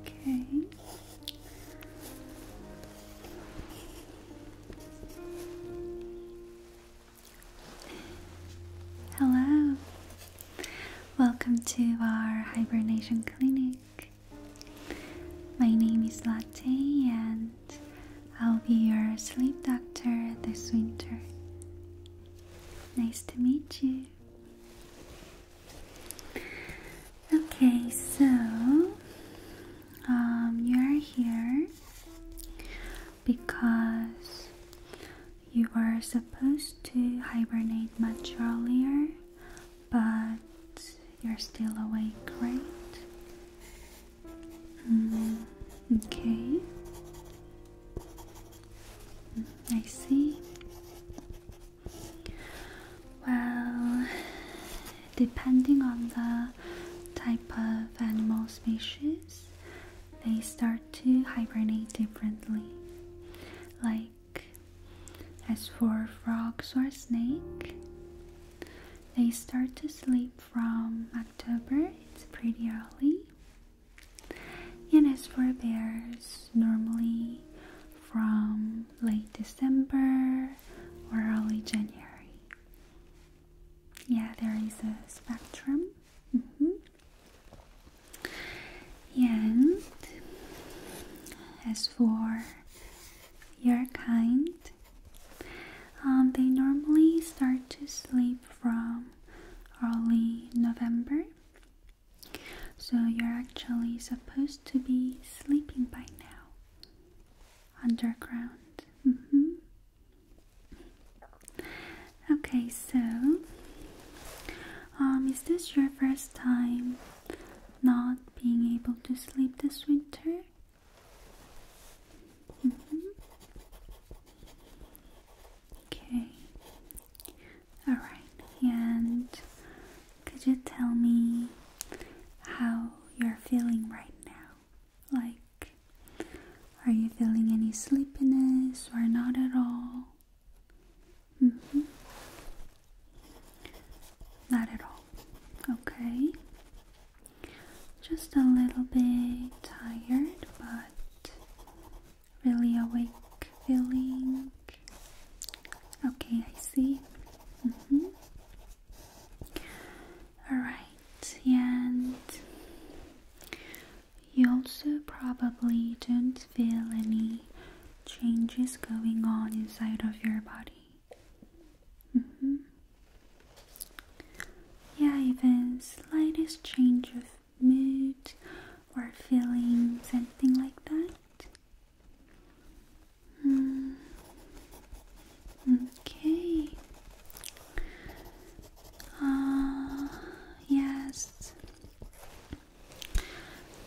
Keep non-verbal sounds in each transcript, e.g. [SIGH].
Okay. Hello. Welcome to our hibernation clinic. My name is Latte and I'll be your sleep doctor this winter. Nice to meet you. Okay, so um, you are here because you were supposed to hibernate much earlier, but you're still awake, right? Mm, okay, mm, I see. Well, depending on the type of animal species, they start to hibernate differently. Like, as for frogs or snake, they start to sleep from October, it's pretty early. And as for bears, normally from late December or early January. Yeah, there is a spectrum. Mm-hmm. And as for your kind, um, they normally start to sleep from early November so you're actually supposed to be sleeping by now. Underground. Mm-hmm. Okay, so um is this your first time not being able to sleep this winter? Mm-hmm. Okay. All right. And could you tell me how you're feeling right now? Like, are you feeling any sleepiness or not at all? Mm hmm. Not at all. Okay. Just a little bit tired, but really awake feeling. Okay, I see. Mm-hmm. Alright, and you also probably don't feel any changes going on inside of your body. Mm-hmm. Yeah, even slightest change of mood or feelings, anything like that. Okay. Ah, yes.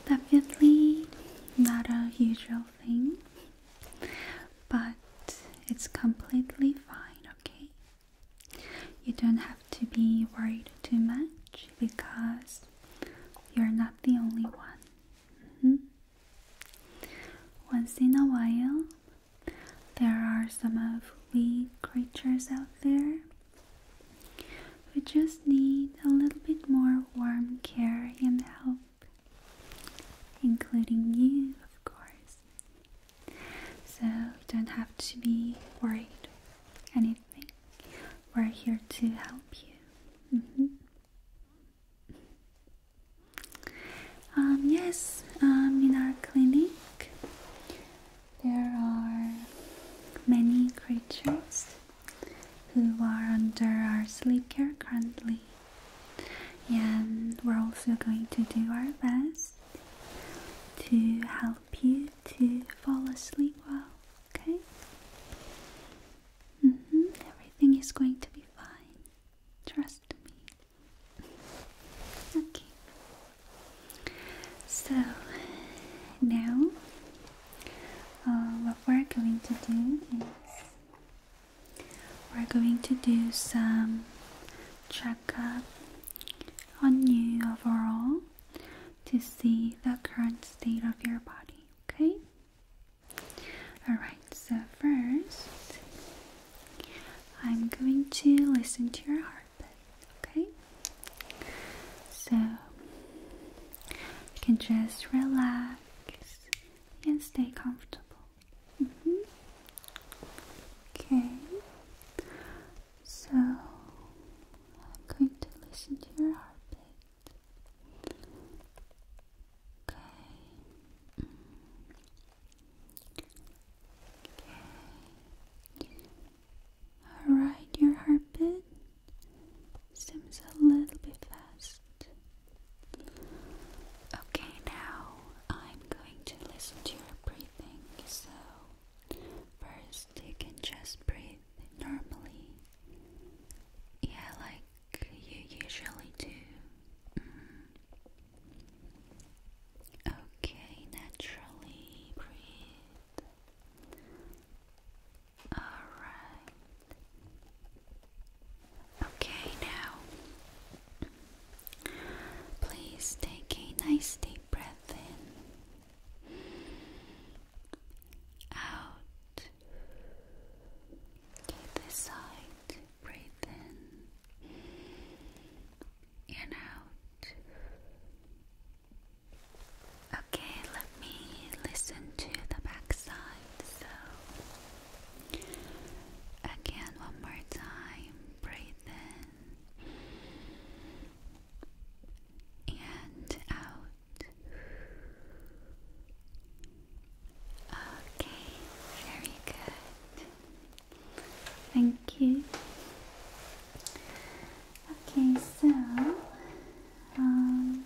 Definitely not a usual thing, but it's completely fine, okay? You don't have to be worried too much because you're not the only one. Mm-hmm. Once in a while, there are some of we creatures out there who just need a little bit more warm care and help, including you, of course. So you don't have to be worried anything. We're here to help you. Mm-hmm. Um, yes, um, in our clinic there are many creatures who are under our sleep care currently, and we're also going to do our best to help you to fall asleep well, okay? Mm-hmm. Everything is going to be fine. Trust me. Okay. So now uh, what we're going to do is we're going to do some checkup on you overall to see the current state of your body, okay? Alright, so first I'm going to listen to your heartbeat, okay? So you can just relax and stay comfortable. Mm-hmm. Okay, so I'm going to listen to your heartbeat. Okay. Okay. Alright, your heartbeat seems a little bit fast. Okay, now I'm going to listen to your breathing. So, first you can just breathe normally. Yeah, like you usually do. Mm. Okay, naturally breathe. Alright. Okay, now please take a nice deep breath in. Out. Okay, this side. Breathe in and out. Okay, let me listen to the back side. So, again, one more time. Breathe in and out. Okay, very good. Thank you. Okay, so um,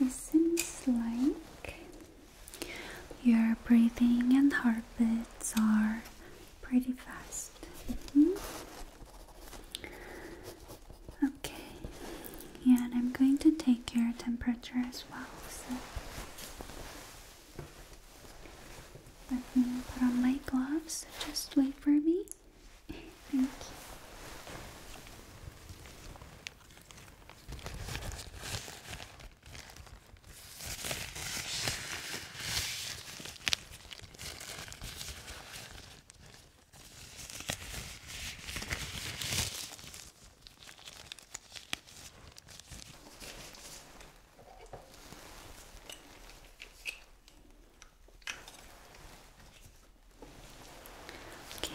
it seems like your breathing and heartbeats are pretty fast. Mm-hmm. Okay, yeah, and I'm going to take your temperature as well. So let me put on my gloves. Just wait for me. Thank you.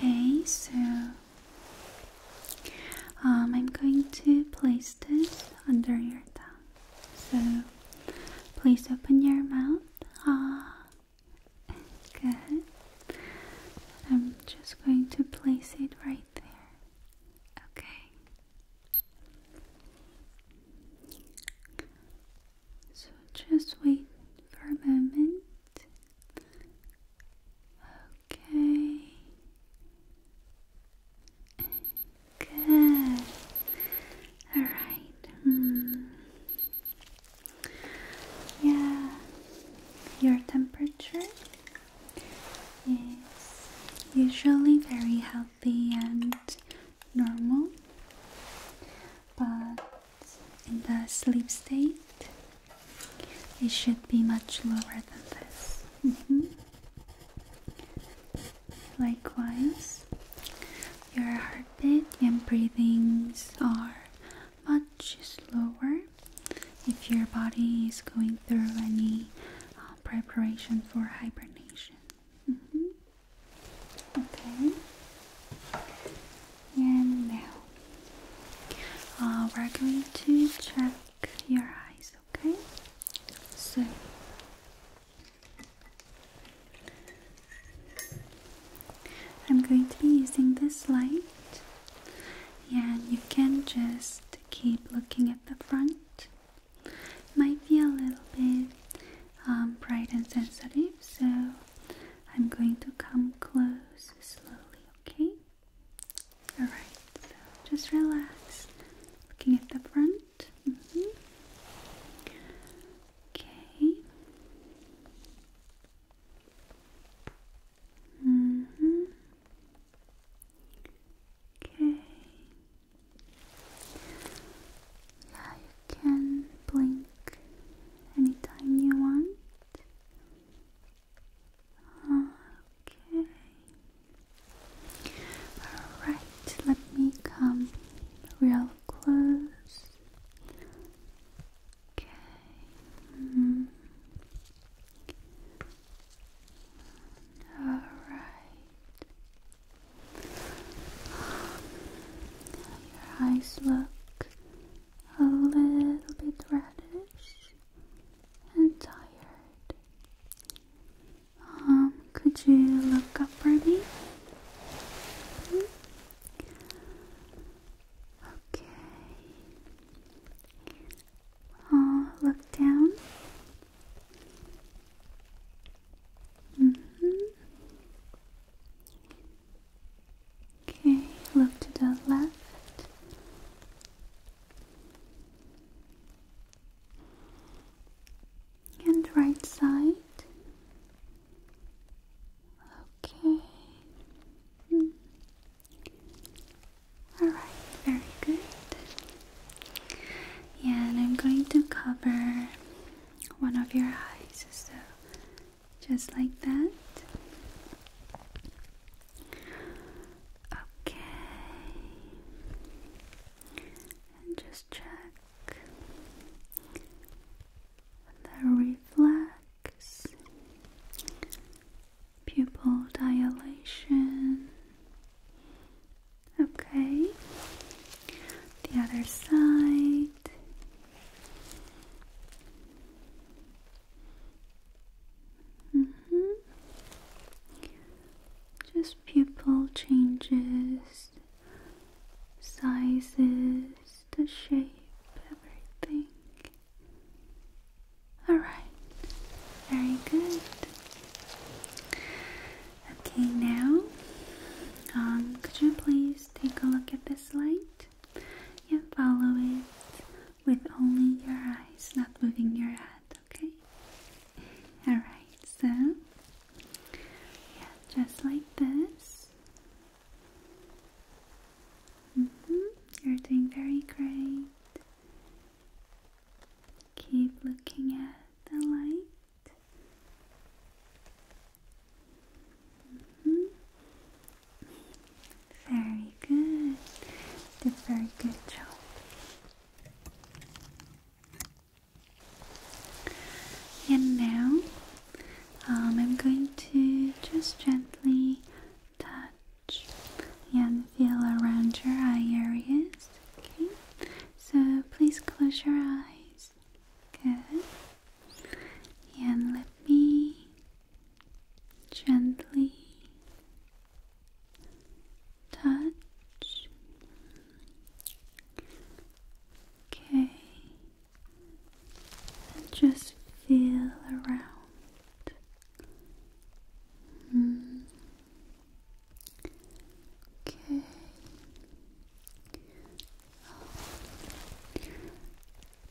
Okay, so um, I'm going to place this under your tongue. So please open your mouth. Ah. Good. I'm just going to place it right there. Okay. So just wait for a moment. Okay. Good. All right. Hmm. Yeah, your temperature is usually very healthy and normal, but in the sleep state, it should be much lower than this. Mm-hmm. Likewise, your heartbeat and breathings are much slower if your body is going through any uh, preparation for hibernation. Mm-hmm. Okay. And now uh, we're going to check your eyes, okay? So I'm going to be using this light yeah, you can just keep looking at the front. Might be a little bit um, bright and sensitive, so I'm going to come close slowly, okay? Alright, so just relax. Looking at the front. Mm-hmm. Okay. -hmm. Okay. Yeah, you can blink anytime you want. Okay. Alright, let me come real close. Okay. All right. Your eyes look a little bit reddish and tired. Um, could you look up for me? Okay. Oh, look down. Mm-hmm. Okay, look to the left. And right side. Okay. Mm-hmm. Alright, very good. Yeah, and I'm going to cover one of your eyes, so just like that. Okay. And just check the reflex pupil dilation. Okay, the other side. Mm -hmm. Just pupil changes, sizes, the shape, everything. Alright, very good. Okay, now, um, could you please take a look at this light and follow it with only your eyes, not moving your head, okay? Alright, so, yeah, just like this. -hmm. You're doing very great. Keep looking at the light. Mm-hmm. Very good. Did very good job. And now um, I'm going to just gently touch and feel around your eye areas. Okay, so please close your eyes. Good. And let me gently touch. Okay, and just feel around. Mm. Okay.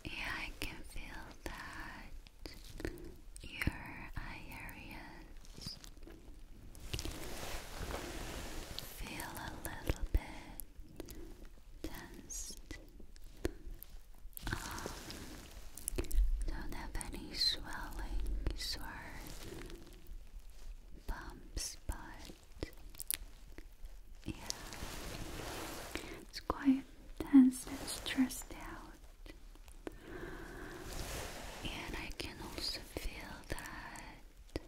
Yeah, I can feel that your areas feel a little bit tensed um, don't have any swellings or bumps, but yeah, it's quite tense and stressed out, and I can also feel that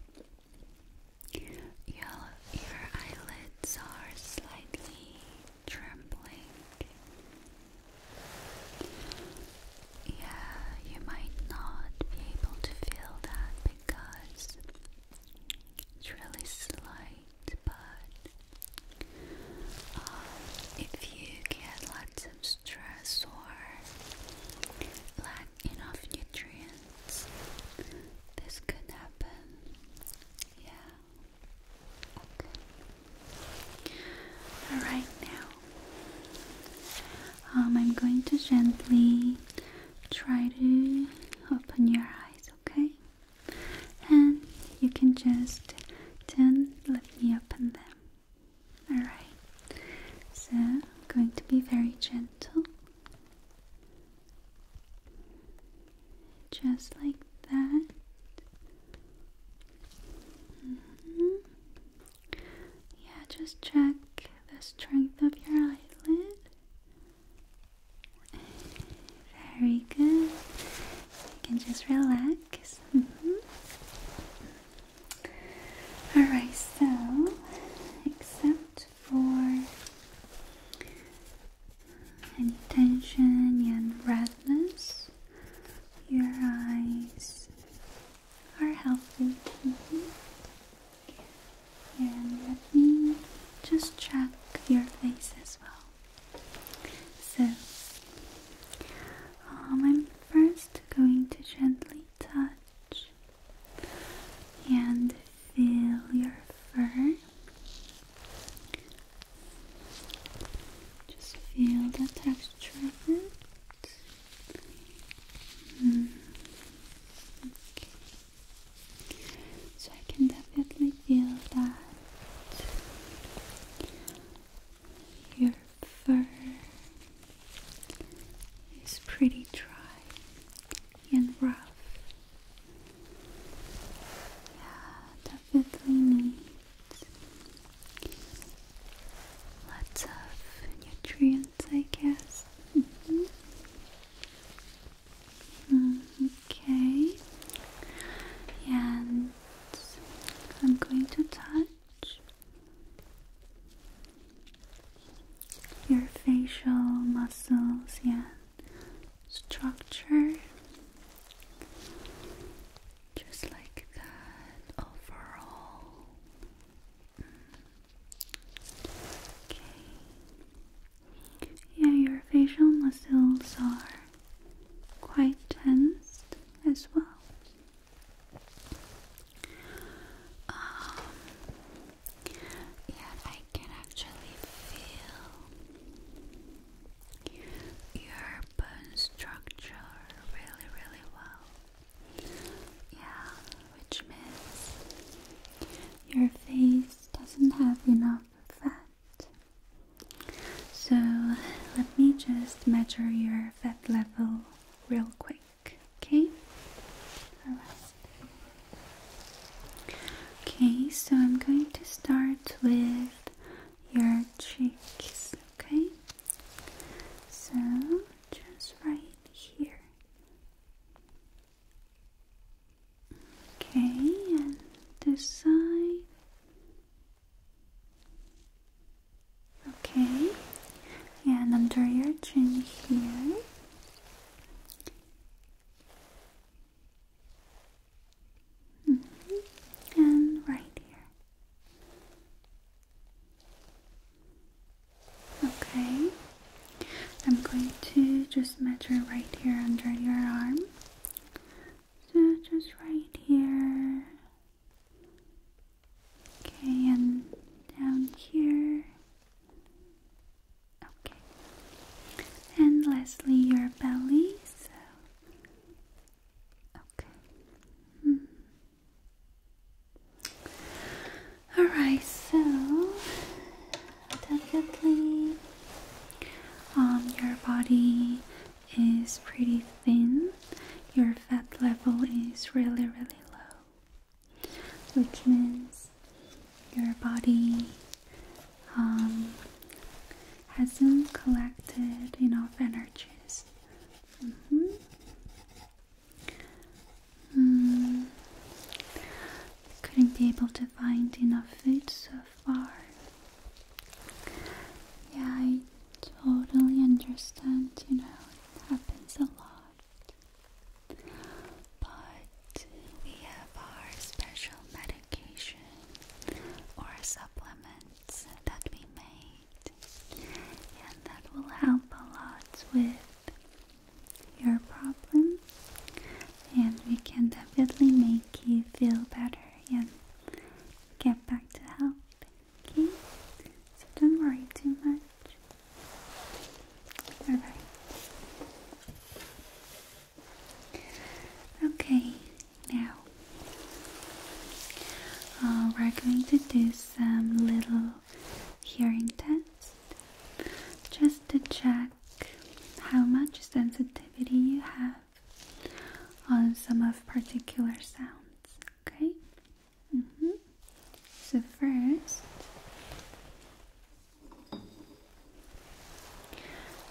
your your eyelids are slightly trembling. Yeah, you might not be able to feel that because it's really slight, but um, if you get lots of stress or lack enough nutrients, this could happen. Yeah. Alright, now um, I'm going to gently try to open your eyes, okay? And you can just then let me open them. Alright, so I'm going to be very gentle, just like that. Mm-hmm. Yeah, just check the strength of your eyelid. Very good. You can just relax. Mm-hmm. Alright, so except for any tension and redness, your eyes are healthy. Mm And let me just check your face as well. So, um, I'm first going to gently touch and feel your fur just feel the texture of it. Mm. Okay. So I can definitely feel that your fur is pretty dry and rough. Yeah, definitely need Lots of nutrients, I guess. Mm-hmm. okay. And I'm going to touch your facial muscles and structure. Just like that overall. Okay. Yeah, your facial muscles are quite tensed as well. Um, yeah, I can actually feel your bone structure really, really well. Yeah, which means your face doesn't have enough fat. So let me just measure your fat level real quick, okay? Okay, so I'm going to start with your cheeks, okay? So just right here. Okay, and this side. Okay, and under your chin here. Mm-hmm, and right here. Okay, I'm going to just measure right here under your arm. So, just right here. Okay, and down here. Okay, and lastly, your belly. So, Okay. Mm. Alright, so definitely um your body is pretty thin. Your fat level is really really low. Which means your body um hasn't collected enough energies Mm-hmm. Mm Couldn't be able to find enough food so far. Yeah, I totally understand, you know, it happens a lot. But we have our special medication or supplements that we make and that will help a lot with your problem and we can definitely make you feel better and get back to health okay so don't worry too much all right okay now, uh, we're going to do some little hearing tests just to check how much sensitivity you have on some of particular sounds. Okay? Mm -hmm. So, first,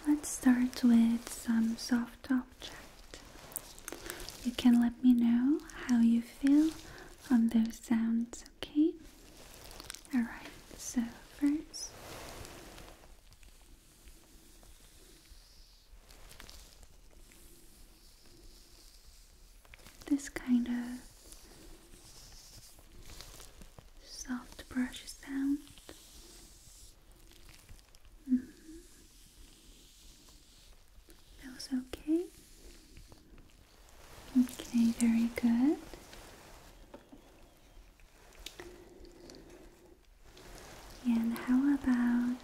let's start with some soft topics. You can let me know how you feel on those sounds, okay? Alright, so first. This kind of soft brush sound Mm -hmm. Feels okay? Okay, very good. And how about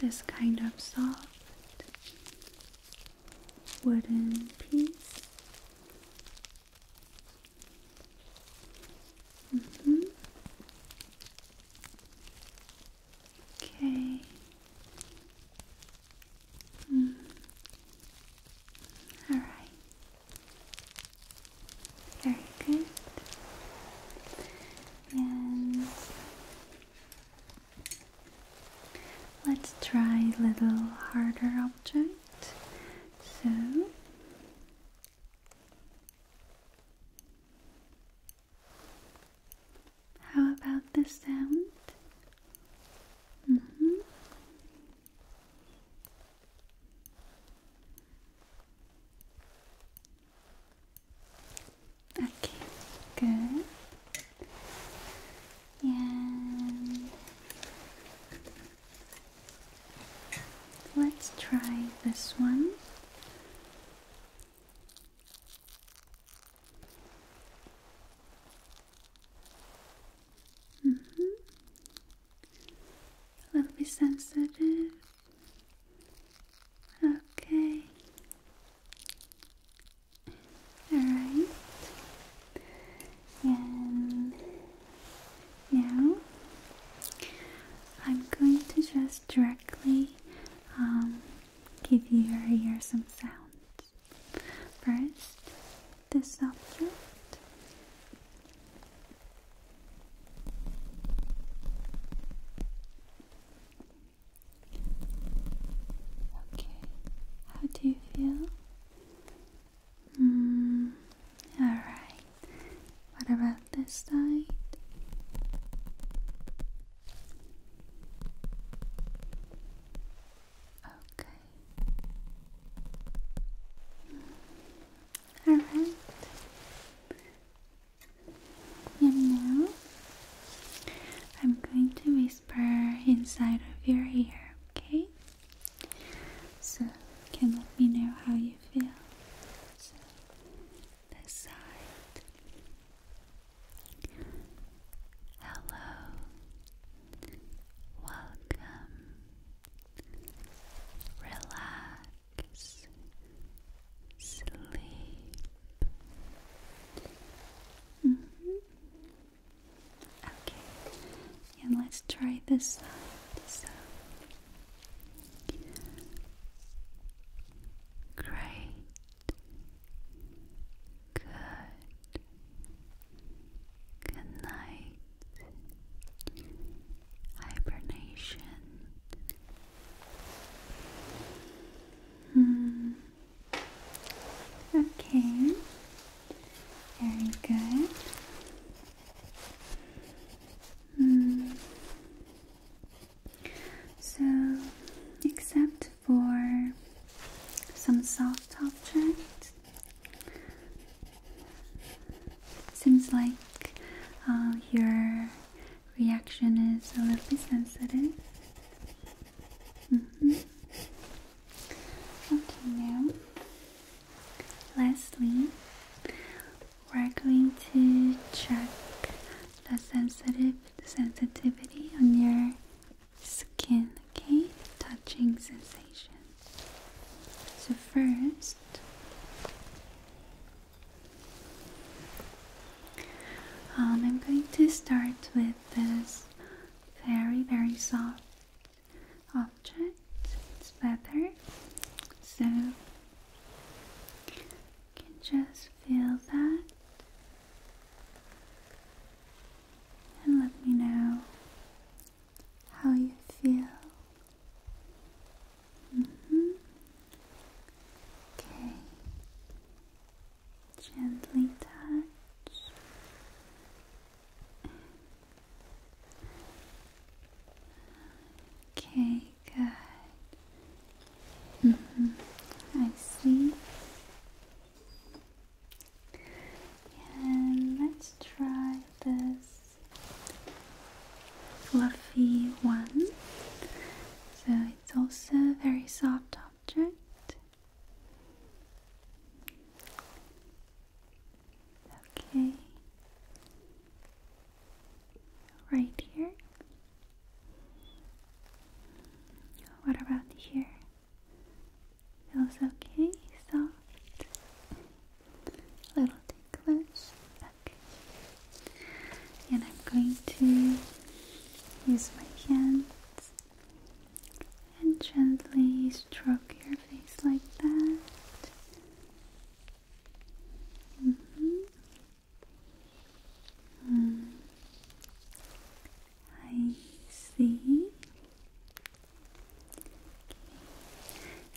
this kind of soft wooden piece Mm -hmm. Okay. Mm. All right. Very good. And let's try a little harder object. So how about the sound? Mm-hmm. Okay, good. And Let's try this one. Mm -hmm. A little bit sensitive. Okay. All right and now I'm going to just directly um, give your ear some sounds. First, this object. Okay, how do you feel? Mm, Alright, what about this side? Okay. Alright. And now I'm going to whisper inside of your ear, okay? So you can let me know how you feel. So Hello. Welcome. Relax. Sleep. Mm-hmm. Okay. And let's try this side. Great. Good. Good night. Hibernation. Hmm. Okay. Very good. Mm. So, except for some soft objects, seems like uh, your reaction is a little bit sensitive. Mm -hmm. Okay, now, lastly, we're going to check the sensitive sensitivity on your skin, okay? Touching sensation. So first um, I'm going to start with this very very soft object, it's better. So you can just feel that and let me know how you feel. Mm-hmm. Okay. Gently touch Okay, good. Mm -hmm. I see. And let's try this fluffy one. So it's also a very soft object. Okay. Right here. What about here? Feels okay, soft. Little ticklish. Okay. And I'm going to use my hands and gently stroke your face like that. Mm-hmm. I see.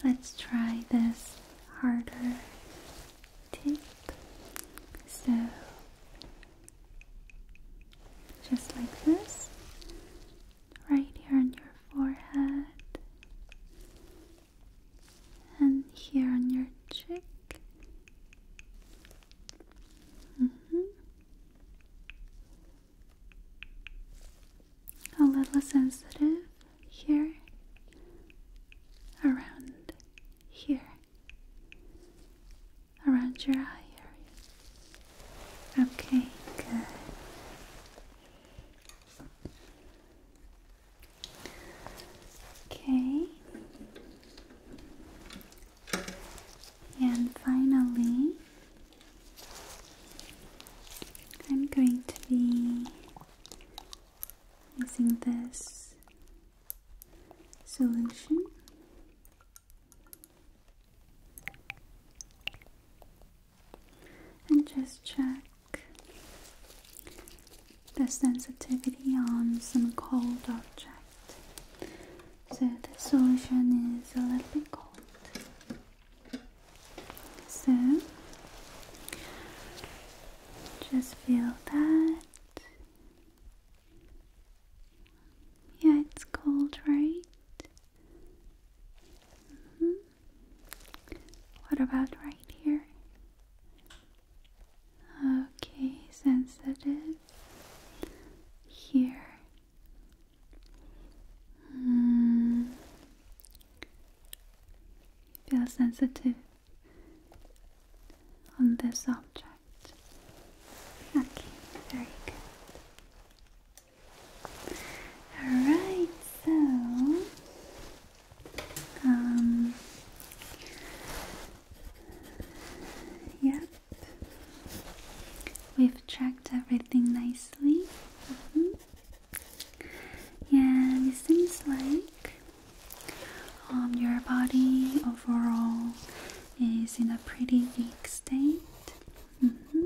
Let's try this harder tip. So, just like this, right here on your forehead and here on your cheek. Mm-hmm. A little sensitive here, around here, around your eye area. Okay, good. Okay. And finally, I'm going to be using this solution and just check the sensitivity on some cold object. So the solution is a little bit cold. So just feel that. Yeah, it's cold, right? Mm-hmm. What about right here? Okay, sensitive. Here. Mm. Feel sensitive on this object. Okay, very good. Alright, so um, yep, we've checked everything nicely. Mm-hmm. Yeah, it seems like um, your body overall is in a pretty weak state. Mm -hmm.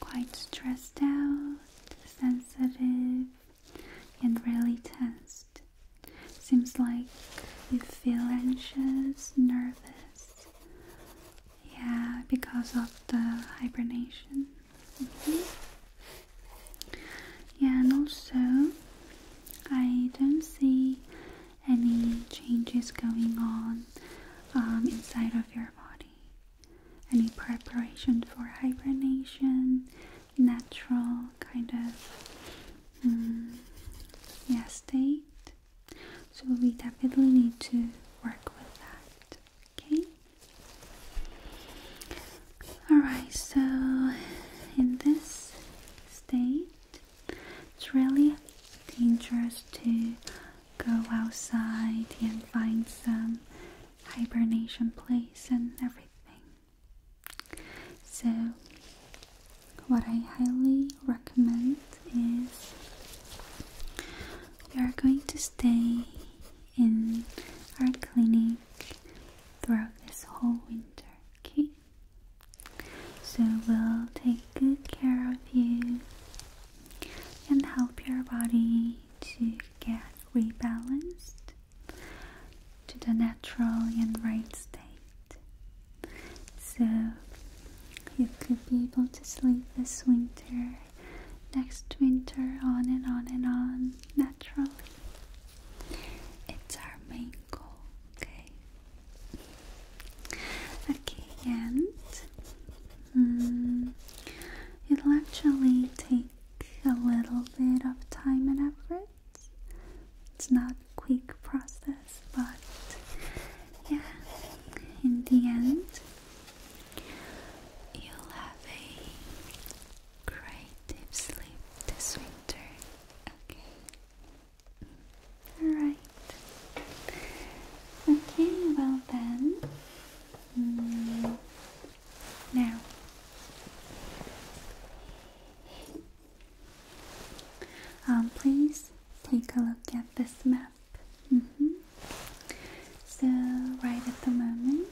Quite stressed out, sensitive and really tensed. Seems like you feel anxious, nervous. Yeah, because of the hibernation. Mm-hmm. Yeah, and also I don't see any changes going on um, inside of your body any preparation for hibernation, natural kind of mm, yeah, state. So we definitely need to work with that. Okay. Alright, so in this state, it's really dangerous to go outside and find some hibernation place and everything. So, what I highly recommend is you are going to stay in our clinic throughout this whole winter, okay? So, we'll take good care of you and help your body to get rebalanced to the natural and right state. So you could be able to sleep this winter, next winter, on and on and on, naturally. It's our main goal, okay? Okay, and hmm, it'll actually take a little bit of time and effort. It's not a quick process, but yeah, in the end, you'll have a great deep sleep this winter. Okay. Alright. Okay, well then. Mm, now, um, please take a look at this map. Mm -hmm. So, right at the moment,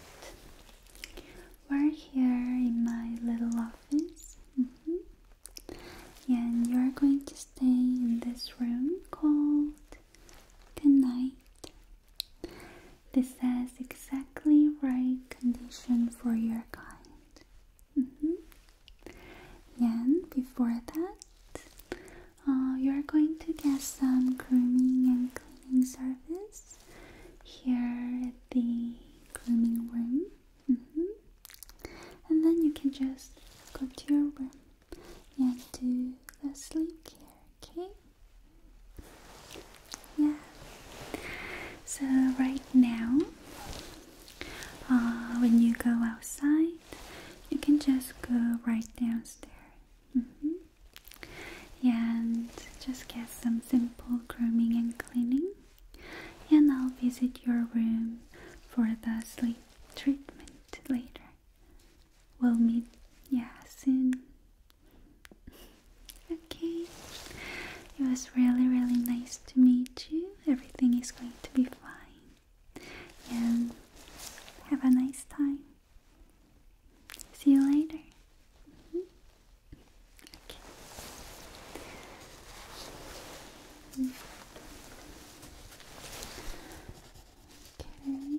we're here in my little office. Mm-hmm. And you're going to stay in this room called the night this is exactly right condition for your kind. And mm-hmm. before that, uh, you're going to get some grooming and cleaning service here at the grooming room. Mm-hmm. And then you can just go to your room and do the sleep care, okay? Yeah. So right now, uh, when you go outside, you can just go right downstairs. Mm-hmm. And just get some simple grooming and cleaning, and I'll visit your room for the sleep treatment later. We'll meet, yeah, soon. Okay. It was really, really nice to meet you. Everything is going to be fine. And have a nice time. See you later. Mm-hmm. Okay. Okay. Mm.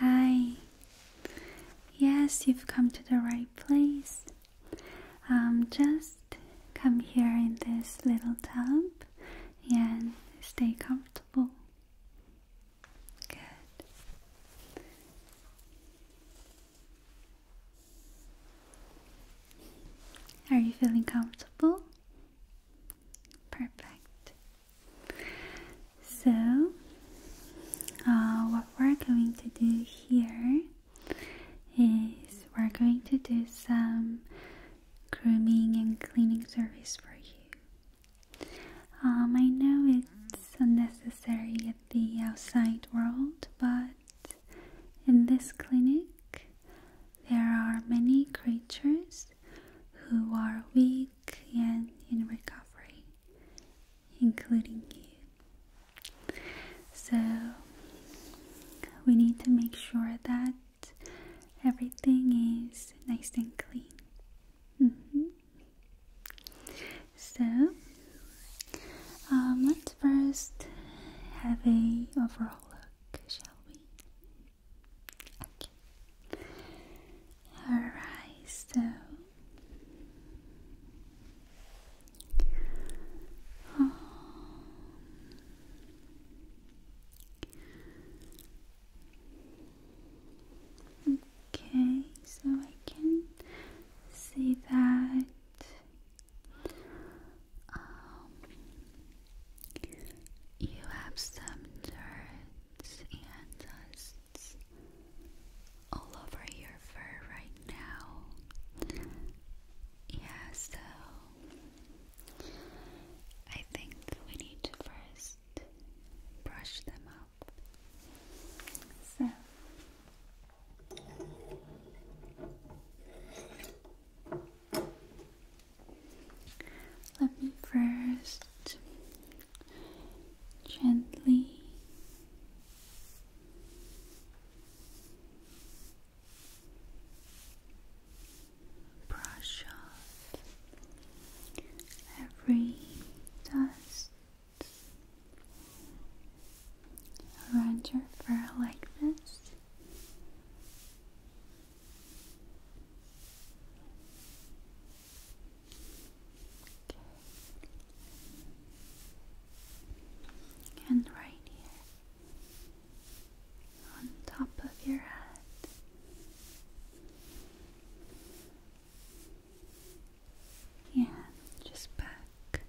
Hi. Yes, you've come to the right place. Um, just come here in this little tub and stay comfortable. Good. Are you feeling comfortable? Perfect. So, uh, what we're going to do here is we're going to do some grooming and cleaning service for you. Um, I know it's unnecessary at the outside world, but in this clinic there are many creatures who are weak and in recovery, including you. So we need to make sure that everything is nice and clean. Mm -hmm. So, um, let's first have a overall look, shall we? Okay. Alright, so Okay, so I can see that um, you have some dirt and dust all over your fur right now. Yeah, so I think we need to first brush them off. So let me first gently brush off every dust around your fur like this. And right here on top of your head. Yeah, just back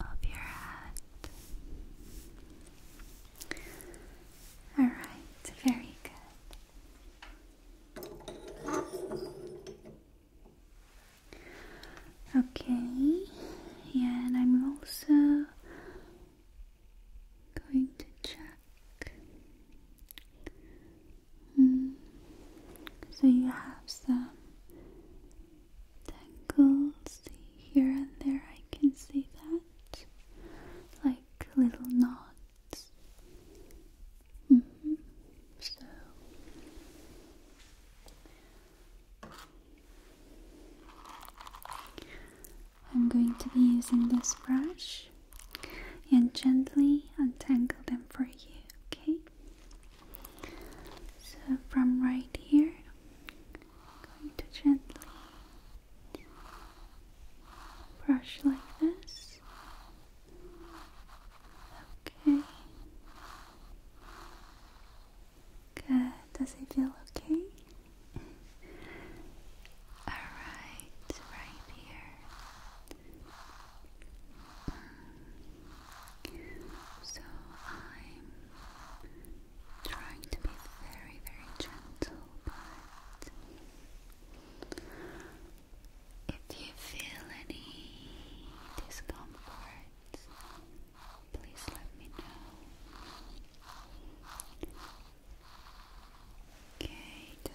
of your head. Alright, very good. Okay, and I'm also going to check Mm. So you have some tangles here and there, I can see that. Like little knots. Mm-hmm. So I'm going to be using this brush and gently untangle them for you, okay? So, from right here, going to gently brush like this. Okay. Good. Does it feel okay? [LAUGHS] Alright, right here. So I'm trying to be very, very gentle, but if you feel any discomfort, please let me know. Okay, good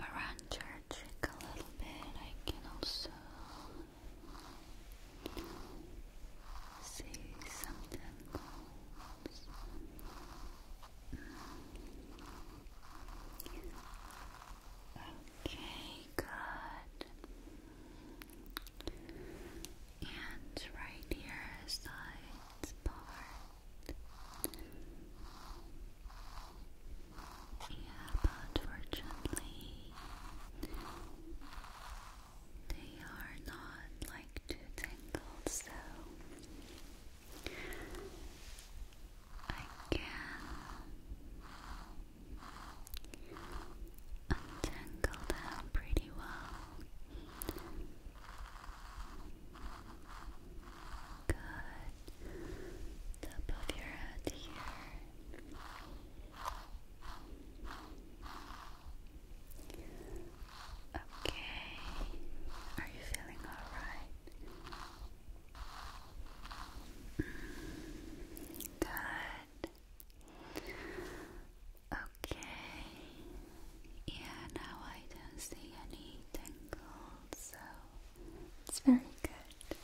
around church a little bit. I can also see something else. Okay, good. And right here is the part. Yeah, but fortunately, they are not like too tangled, so I can untangle them pretty well. Good. Top of your head here. Okay. Are you feeling all right? Mm. Good. Okay. Yeah, now I don't see any tangles, so it's very good.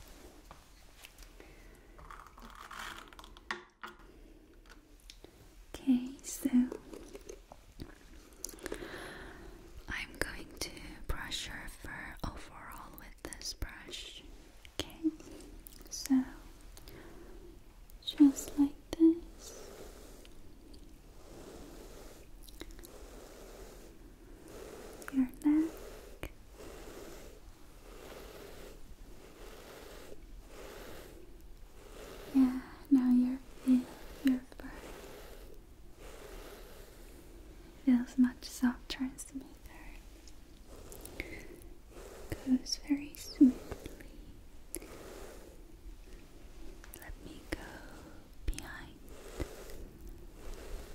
Okay, so I'm going to brush your fur overall with this brush. Okay, so just like this your neck, yeah, now your feel your fur feels much softer and smoother. Goes very smoothly let me go behind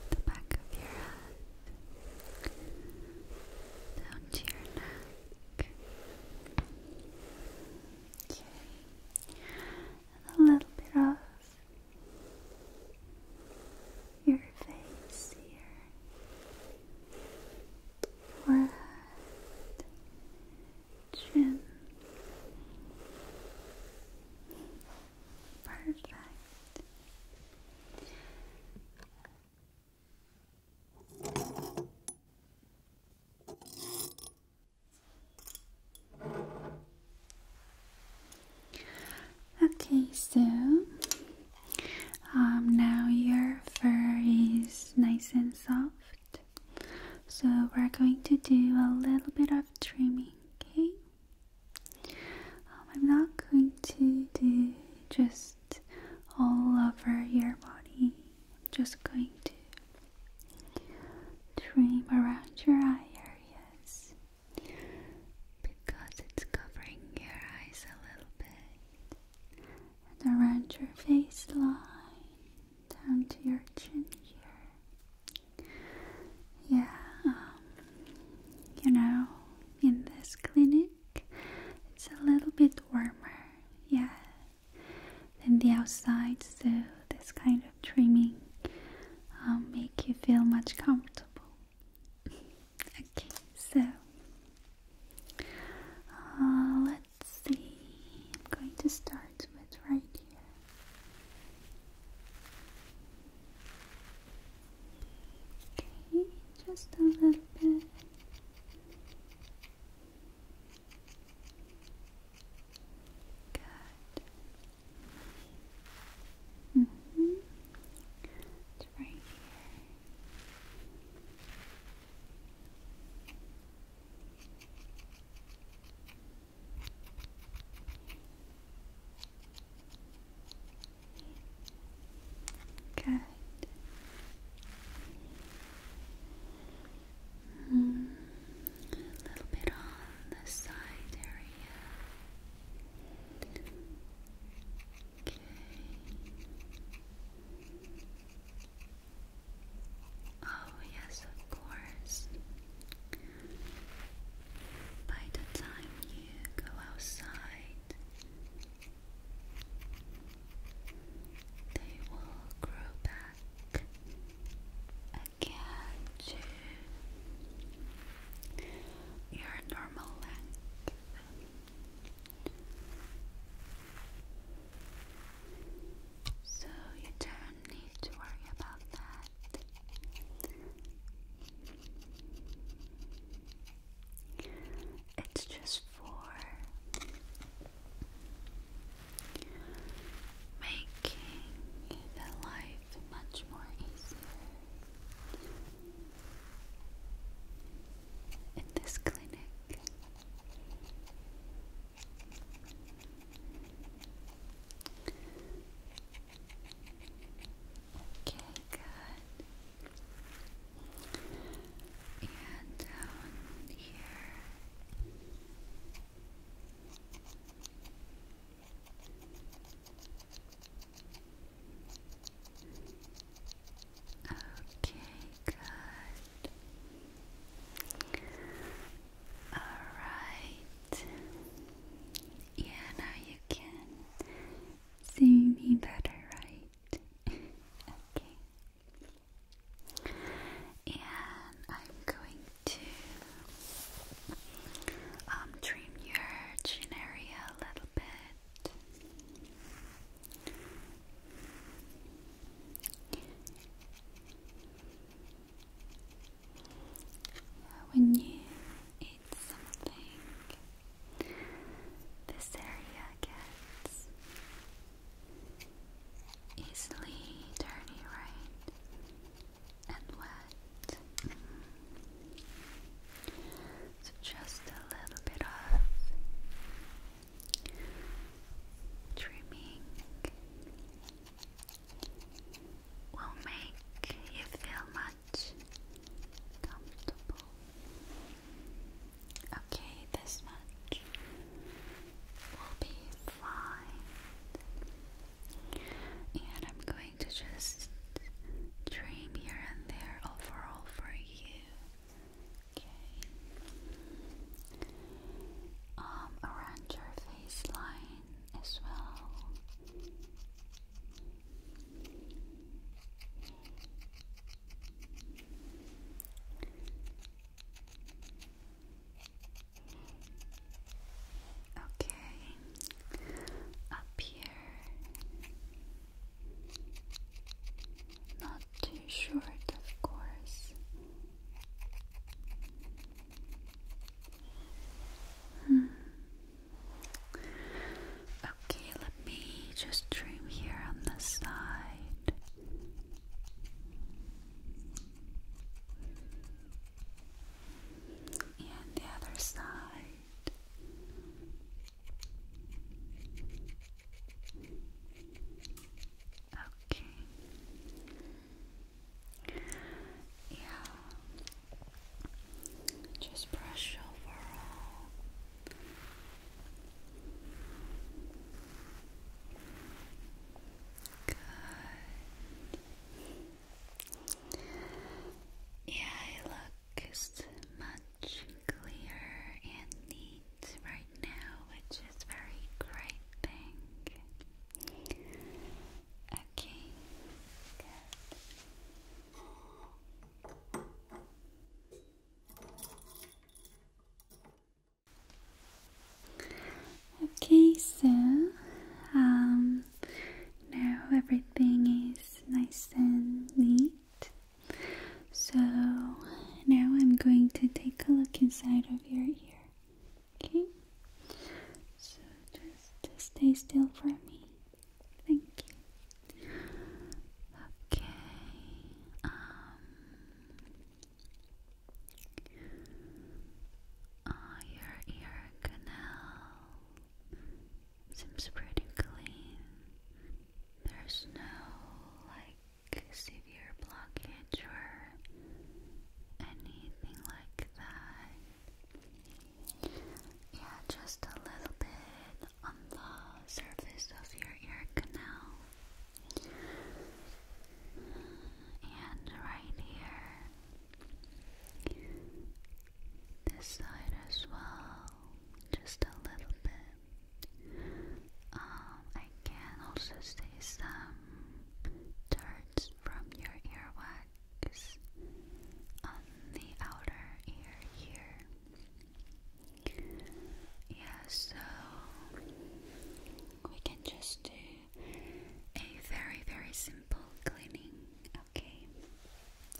the back of your head, down to your neck. And a little bit off your face here. Forehead, chin, Perfect. Okay, so um, now your fur is nice and soft, so we're going to do a little bit of trimming, okay? Um, I'm not going to do just all over your body. I'm just going to dream around your eye areas because it's covering your eyes a little bit and around your face line down to your chin here yeah, um, you know, in this clinic, it's a little bit warmer, yeah, than the outside, so this kind of trimming um, make you feel much comfortable. [LAUGHS] okay, so uh, let's see. I'm going to start with right here. Okay, just a little bit. Good. -hmm. right here. Good. Mm, a little bit on the side area. Okay. Oh, yes, of course by the time you go outside, they will grow back again to your normal length. So you don't need to worry about that. It's just for making life much more easier in this clinic. Okay, good. And down um, here. Okay, good. Alright. Yeah, now you can see me better, right? [LAUGHS] okay. And I'm going to um trim your chin area a little bit. When you eat something, this area gets easily dirty, right? And wet. So just a little bit of trimming will make you feel much comfortable. Okay, this much will be fine. And I'm going to just trim here and there overall for you. Okay. Um around your face line as well. Okay, up here, not too short, of course. Hmm. Okay, let me just trim here on the side. And the other side. Okay. Yeah, just brush over all. Good. Yeah, I look much clearer and neat right now, which is very great thing. Okay, Okay, so um, now everything is nice and neat. So now I'm going to take a look inside of your ear. Okay, so just, just stay still for me. Thank you. Okay. Um. your ear canal seems pretty clean. There's no like severe blockage or anything like that. Yeah, just a little bit on the surface of your ear canal. And right here. This side as well. Just a little bit. Um, I can also see some dirt from your earwax marks on the outer ear here. Yeah, so we can just do a very, very simple cleaning, okay?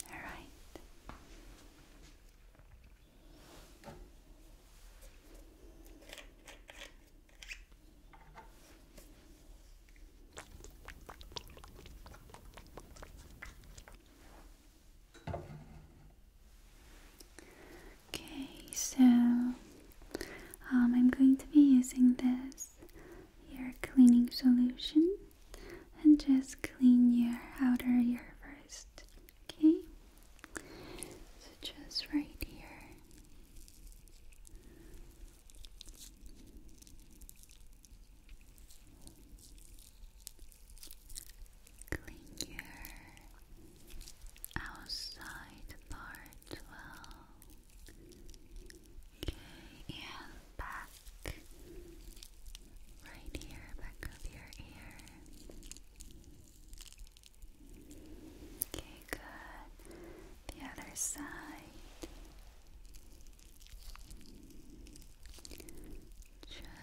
Alright. Okay, so um, I'm going to be using this ear cleaning solution and just clean your outer ear first. Okay, so just right here. Clean your outside part well. Okay, and back, right here, back of your ear. Okay, good. The other side.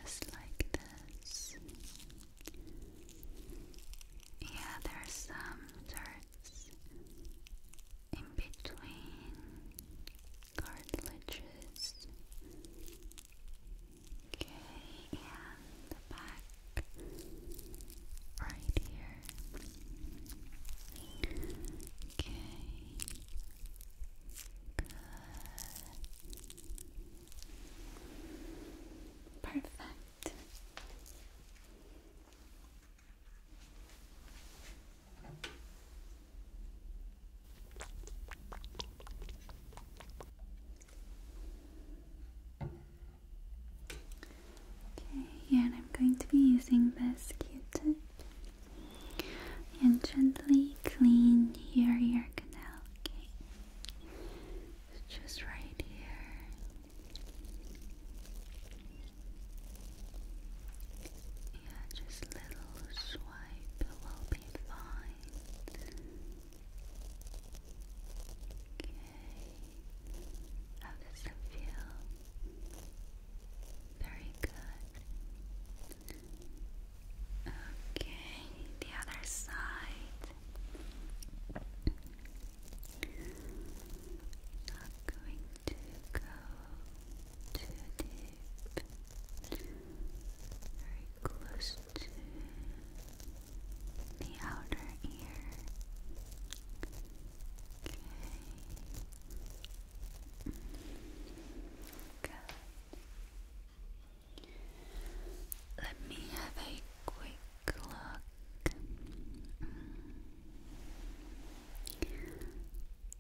Just like this. Yeah, there's some dirt in between cartilages. Okay, and the back right here. Okay. Perfect. Okay, and I'm going to be using this Q-tip and gently clean your ear canal, okay? just right here. Yeah, just little swipe will be fine. Okay. How does it feel? Very good. Okay, the other side. Not going to go too deep. Very close to the outer ear. Okay. Let me have a quick look.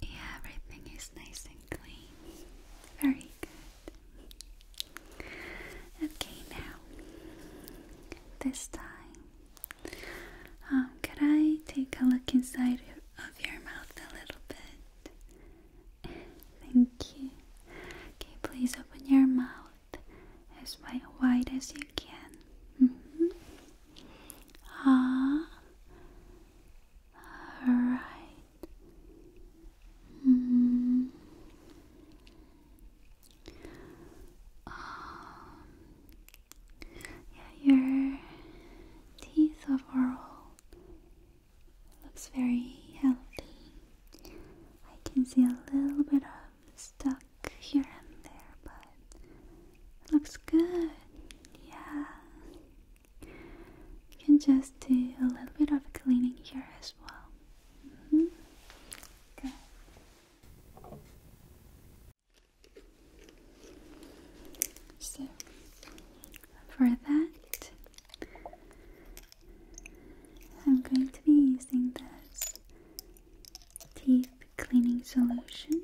Yeah, everything is nice and clean. Very good. Okay, now, this time, um, could I take a look inside of your mouth a little bit? Thank you. Okay, please open your mouth as wide as you can. Mm-hmm. Ah, all right. Mm. Um, yeah, your teeth overall Looks very healthy. I can see a little bit of stuck here and there, but looks good. Yeah. You can just do a little bit of cleaning here as well. Mm-hmm. Good. So for that, I'm going to be using this teeth cleaning solution.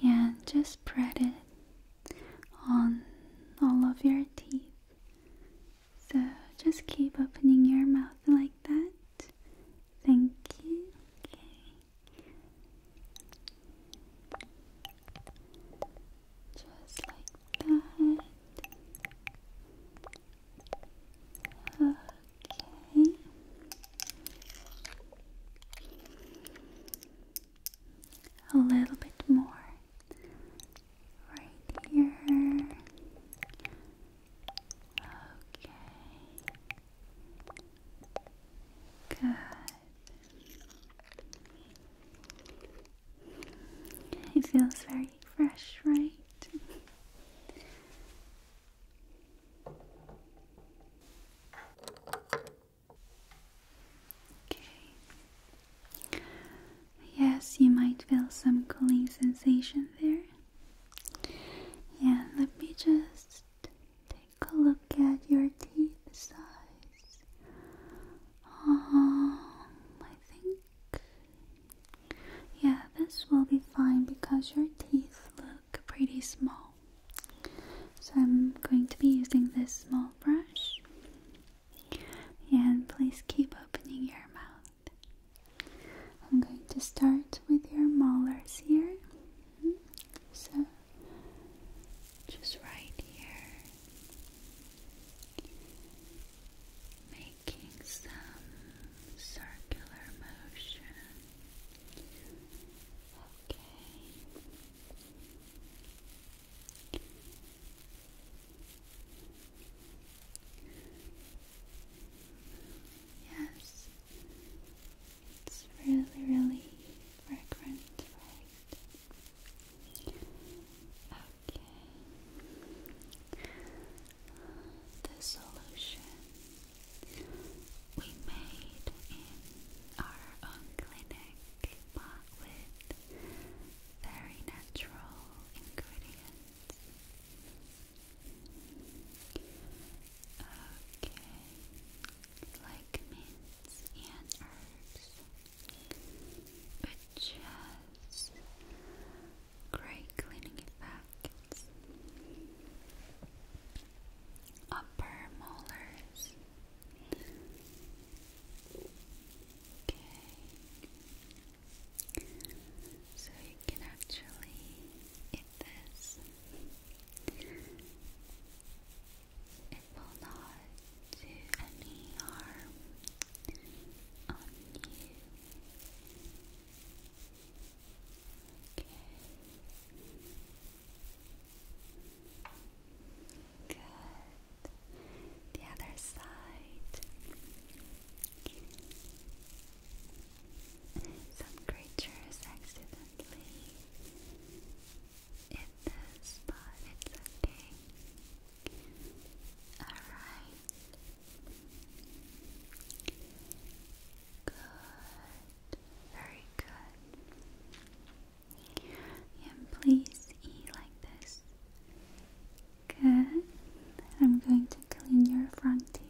Yeah, just spread it on all of your teeth. So just keep opening your mouth like that. Thank you. Just like that. Okay. A little bit more right here. Okay. Good. It feels very fresh, right? Okay. Yes, you might feel some cooling sensation there. Yeah. let me just take Take a look at your teeth size. Um, I think. Yeah, this will be fine because your teeth look pretty small. So I'm going to be using this small brush. And please keep opening your mouth. I'm going to start with your molars here. So, just right here, making some circular motion. Okay. Yes, it's really, really fragrant, right? Okay. The solution we made in our own clinic, with very natural ingredients. Okay like mints and herbs, which has great cleaning effects. Upper molars. Okay. So you can actually eat this it will not do any harm on you. Good. The other side. Some creatures accidentally badly but it's okay. Alright. Good. Very good. And please eat like this. Good. I'm going to clean your front teeth.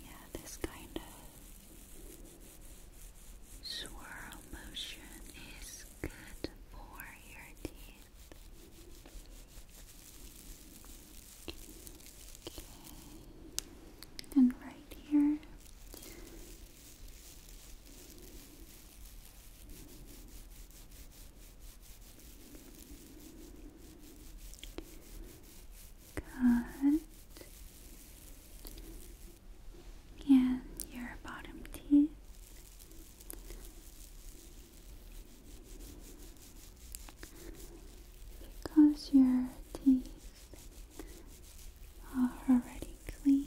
Yeah, this kind of swirl motion is good for your teeth. Okay. And right here, Good. And your bottom teeth. Because your teeth are already clean.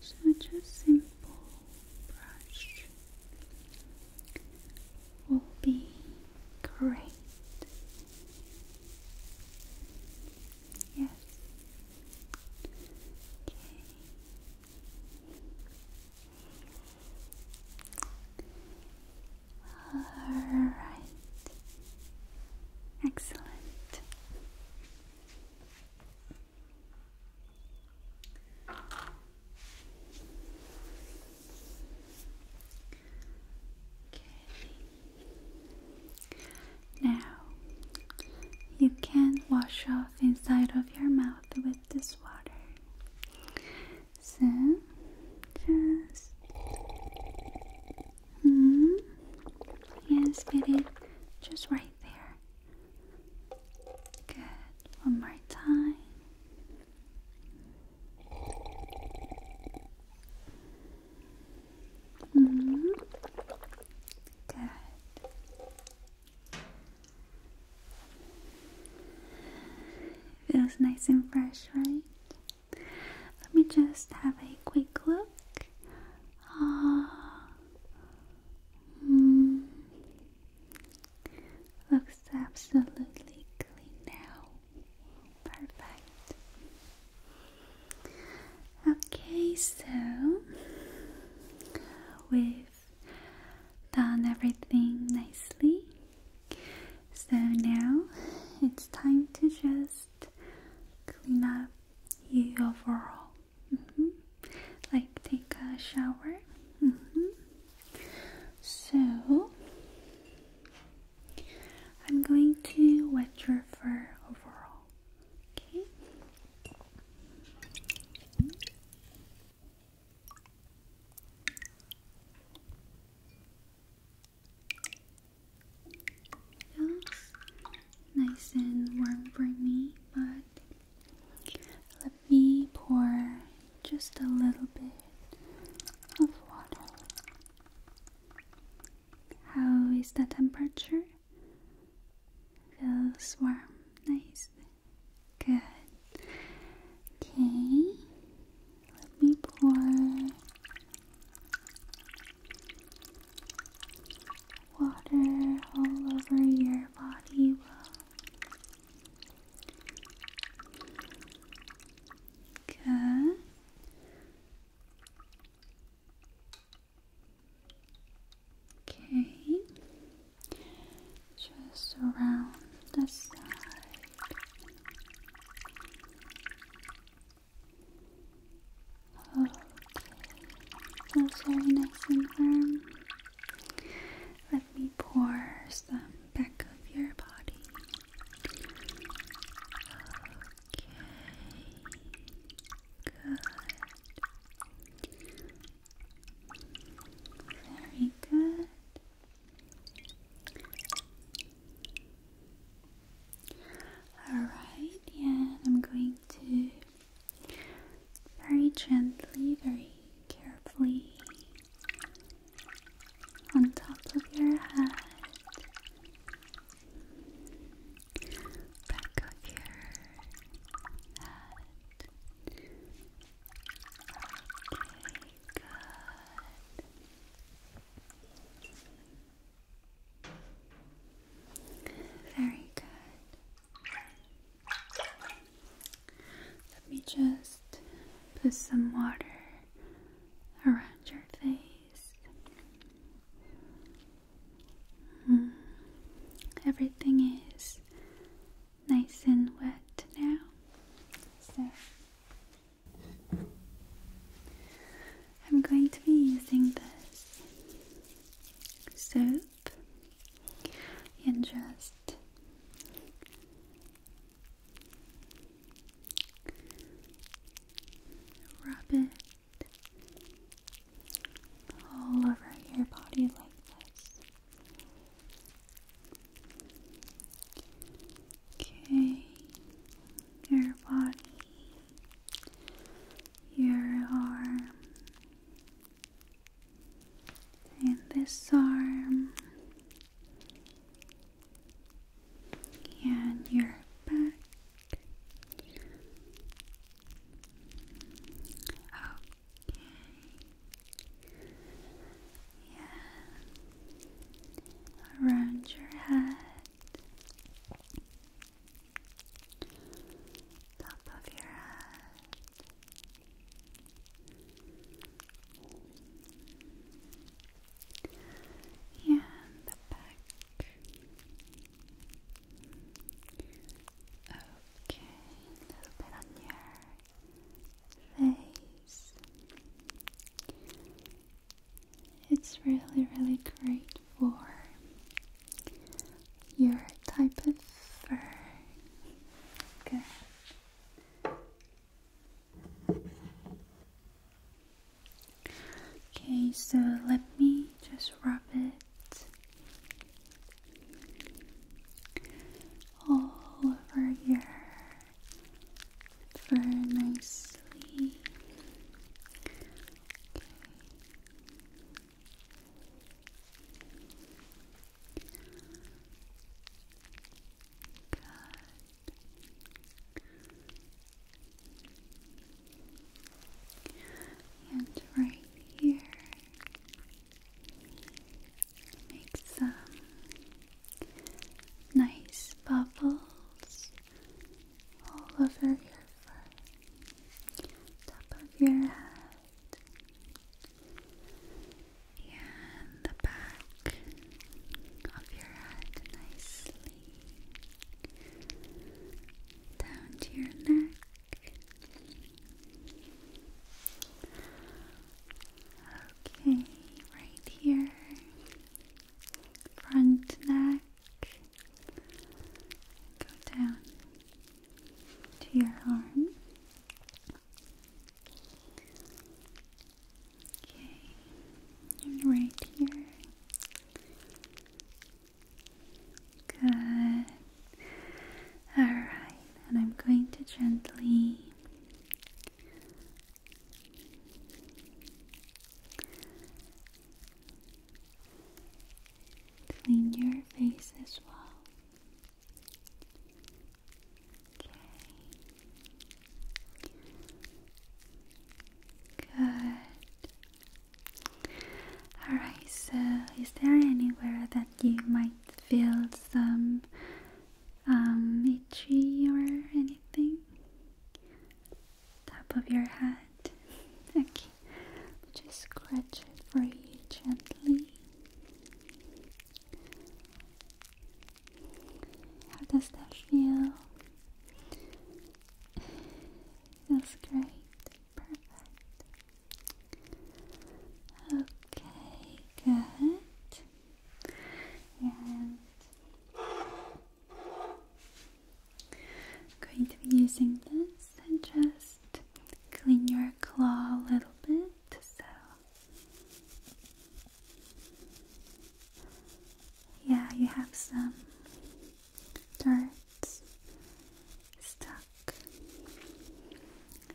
So a simple brush will be great. Yes. Okay. All right. Excellent. Now you can wash off inside of your mouth with this water. So just -hmm. Yes, fit it just right there. Good. One more time. -hmm. Good. Feels nice and fresh, right? Let me just have a quick look. Ah, hmm. looks absolutely clean now. Perfect. Okay, so we've done everything nicely. So now it's time to just clean up you overall. Mm-hmm. Like take a shower. Mm-hmm. So I'm going to wet your fur overall. Okay feels nice and warm for me, but let me pour just a little bit of water. How is the temperature? Feels warm, nice, good. Okay, let me pour water all over your body will Okay, just around the side. Oh, that's very nice and firm. Let me pour some back of your body. Okay, good. Very good. Alright, and I'm going to very gently, very carefully on top of your head, back of your head. Okay, good. Very good. Let me just put some water around your face. Mm. Everything is nice and wet now. I'm going to be using this soap and just rub it all over your body like this. Okay, your body your arm and this arm and your back. Okay. Yeah. Around your head top of your head. and the back. Okay, a little bit on your face. It's really, really great for your type of fur. Good. Okay, so let me just rub it all over your fur nicely. Okay. And right here, make some nice bubbles all over your foot, top of your head, and the back of your head nicely, down to your neck. Okay, right here, front neck, Go down to your arm. Okay, and right here. Good. Alright, and I'm going to gently clean your face as well. Okay. Good. Alright, so is there anywhere that you might feel some um, itchy or anything? top of your head. [LAUGHS] okay, just scratch it for you gently. How does that feel? [SIGHS] Feels great. Perfect. Okay, good. And I'm going to be using this and just clean your claw a little bit. So, yeah, you have some dirt stuck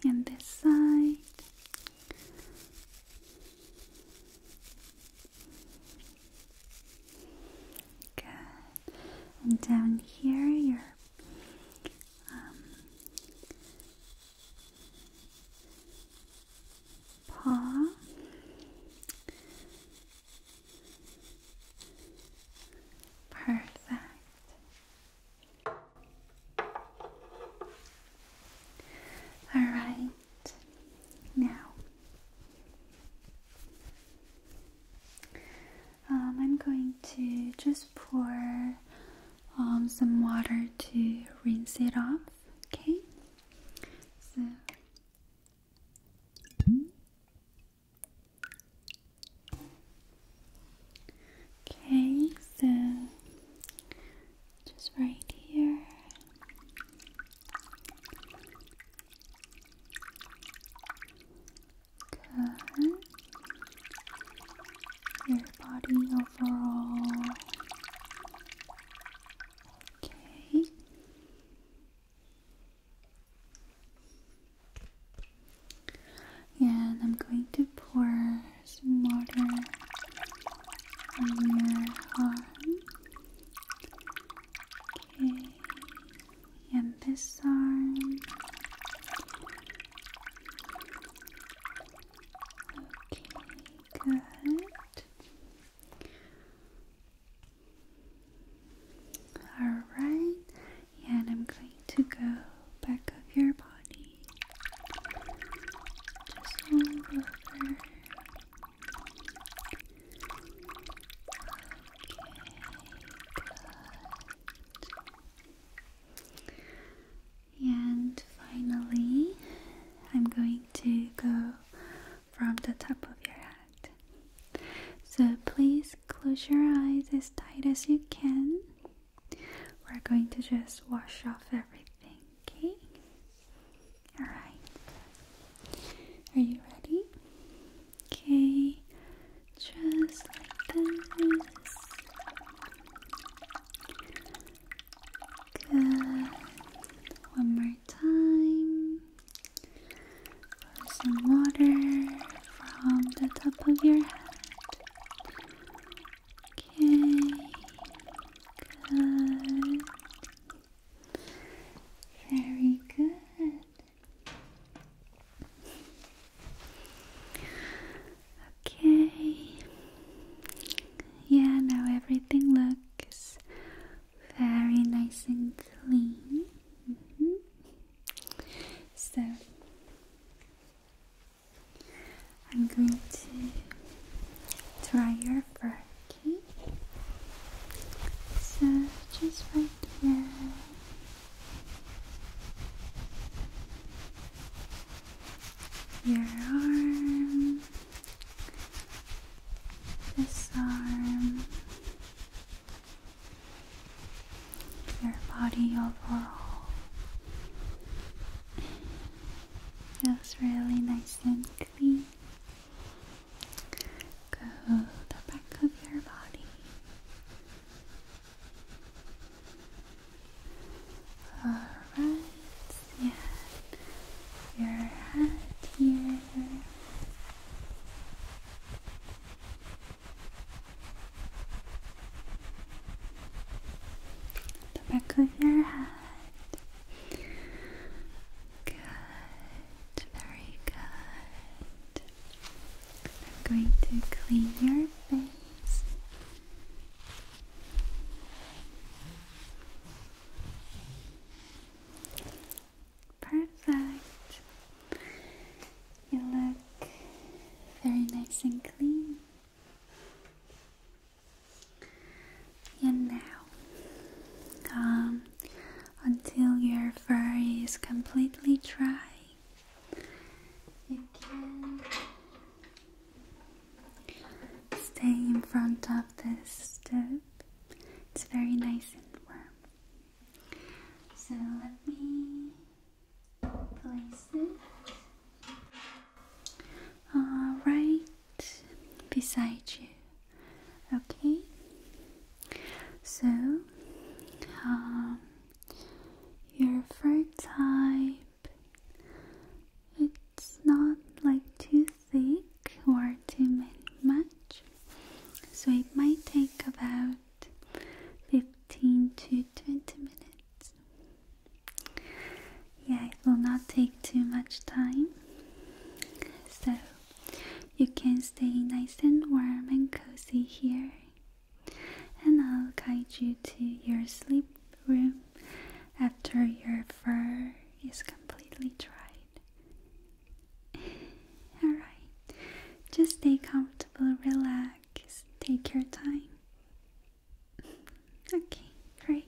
in this side. Good and down here your um, paw. Perfect. All right, now um, I'm going to just pour um, some water to rinse it off. Okay, so. Okay, so just right here. Good. Your body overall. Okay. And I'm going to pour some water on your arm. Okay and this arm. Okay, good. All right, and I'm going to go back of your body. Just hold over. Okay, good. And finally, I'm going to go from the top of your head. So please close your eyes as tight as you can. We're going to just wash off everything, okay? Alright. Are you ready? Okay, just like this. Good. One more time. Pour some water from the top of your head. Okay, good. Very good. Okay. Yeah, now everything looks very nice and clean. Mm-hmm. So I'm going to dry your fur, okay? So just right your arm, this arm, your body overall. Feels really nice and clean. Go the back of your body. Alright, yeah, your head here. The back of your head. Good, very good. I'm going to clean your face. Perfect. You look very nice and clean. And now, um, until your fur is completely dry, you can stay in front of this stove. It's very nice and warm. So let me place it uh, right beside you. Okay. So um, your fur type. It's not like too thick or too much, so it might take about 15 to 20 minutes. Yeah, it will not take too much time, so you can stay nice and warm and cozy here and I'll guide you to your sleep room after your fur is completely dried. [LAUGHS] Alright, just stay comfortable, relax, take your time. [LAUGHS] Okay, great.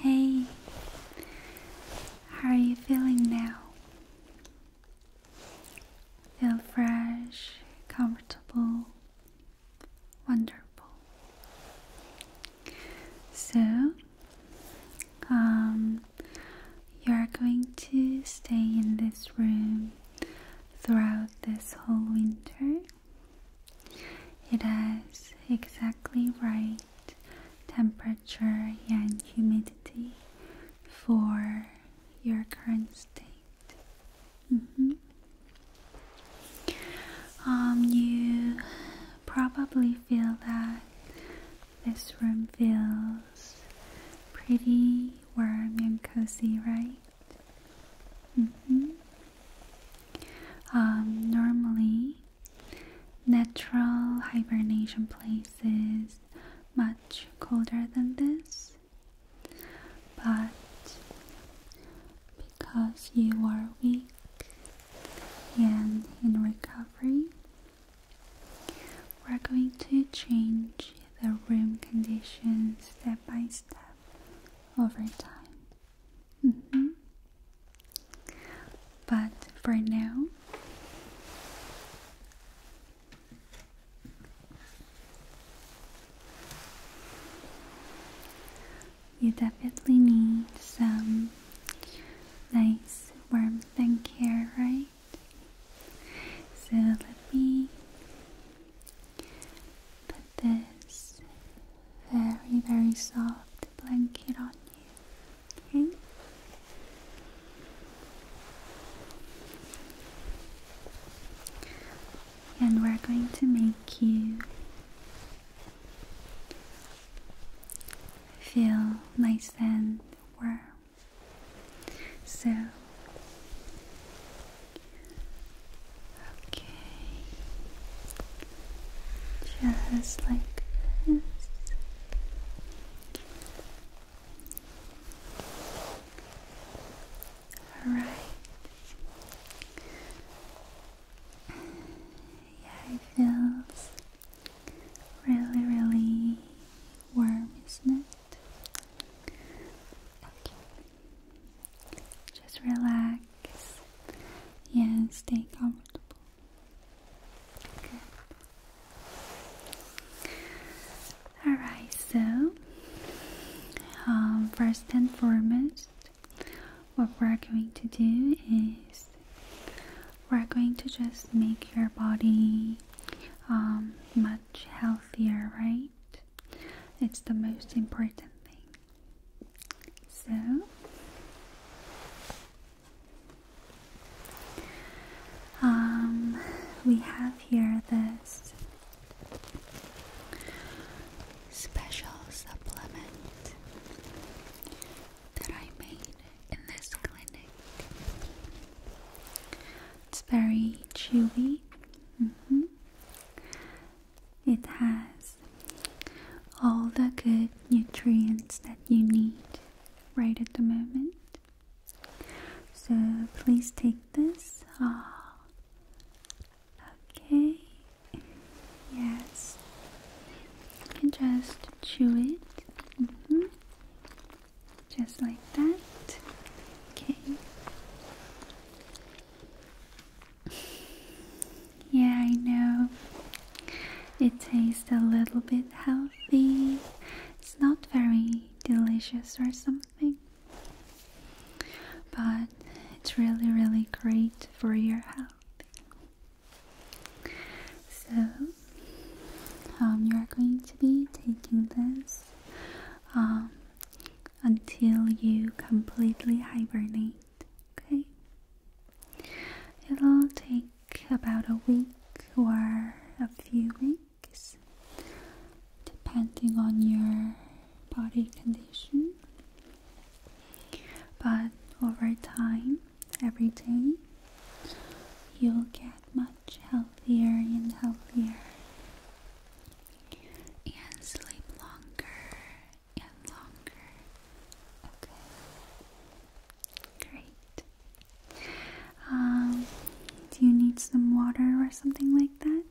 Hey, how are you feeling now? Feel fresh, comfortable, wonderful. So, um, you're going to stay in this room throughout this whole winter. It has exactly right temperature and humidity for your current state. Mm-hmm. Um, you probably feel that this room feels pretty warm and cozy, right? Mm-hmm. Um, normally, natural hibernation places much colder than this, but because you are weak and in recovery, we're going to change the room conditions step by step over time. Mm-hmm. But for now, you definitely need some nice warm, and care, right? So let me put this very, very soft blanket on you. Okay? And we're going to make you feel nice and warm. So, okay, just like this. All right. Yeah, it feels really, really warm, isn't it? Okay. Just relax. Yeah, stay comfortable. Good. Alright, so um, first and foremost, what we're going to do is we're going to just make your body um, much healthier, right? It's the most important thing. So, um, we have here this special supplement that I made in this clinic. It's very chewy. Mm-hmm. It has all the good nutrients that you need right at the moment. So please take this. Oh. Okay. Yes. You can just chew it. Mm-hmm just like that. Okay. Yeah, I know. It tastes a little bit healthy. It's not very delicious or something. But it's really, really great for your health. So, um, you're going to be taking this um, until you completely hibernate. Okay, it'll take about a week or a few weeks, depending on your body condition. But over time, every day, you'll get much healthier and healthier and sleep longer and longer. Okay. Great. Um, do you need some water or something like that?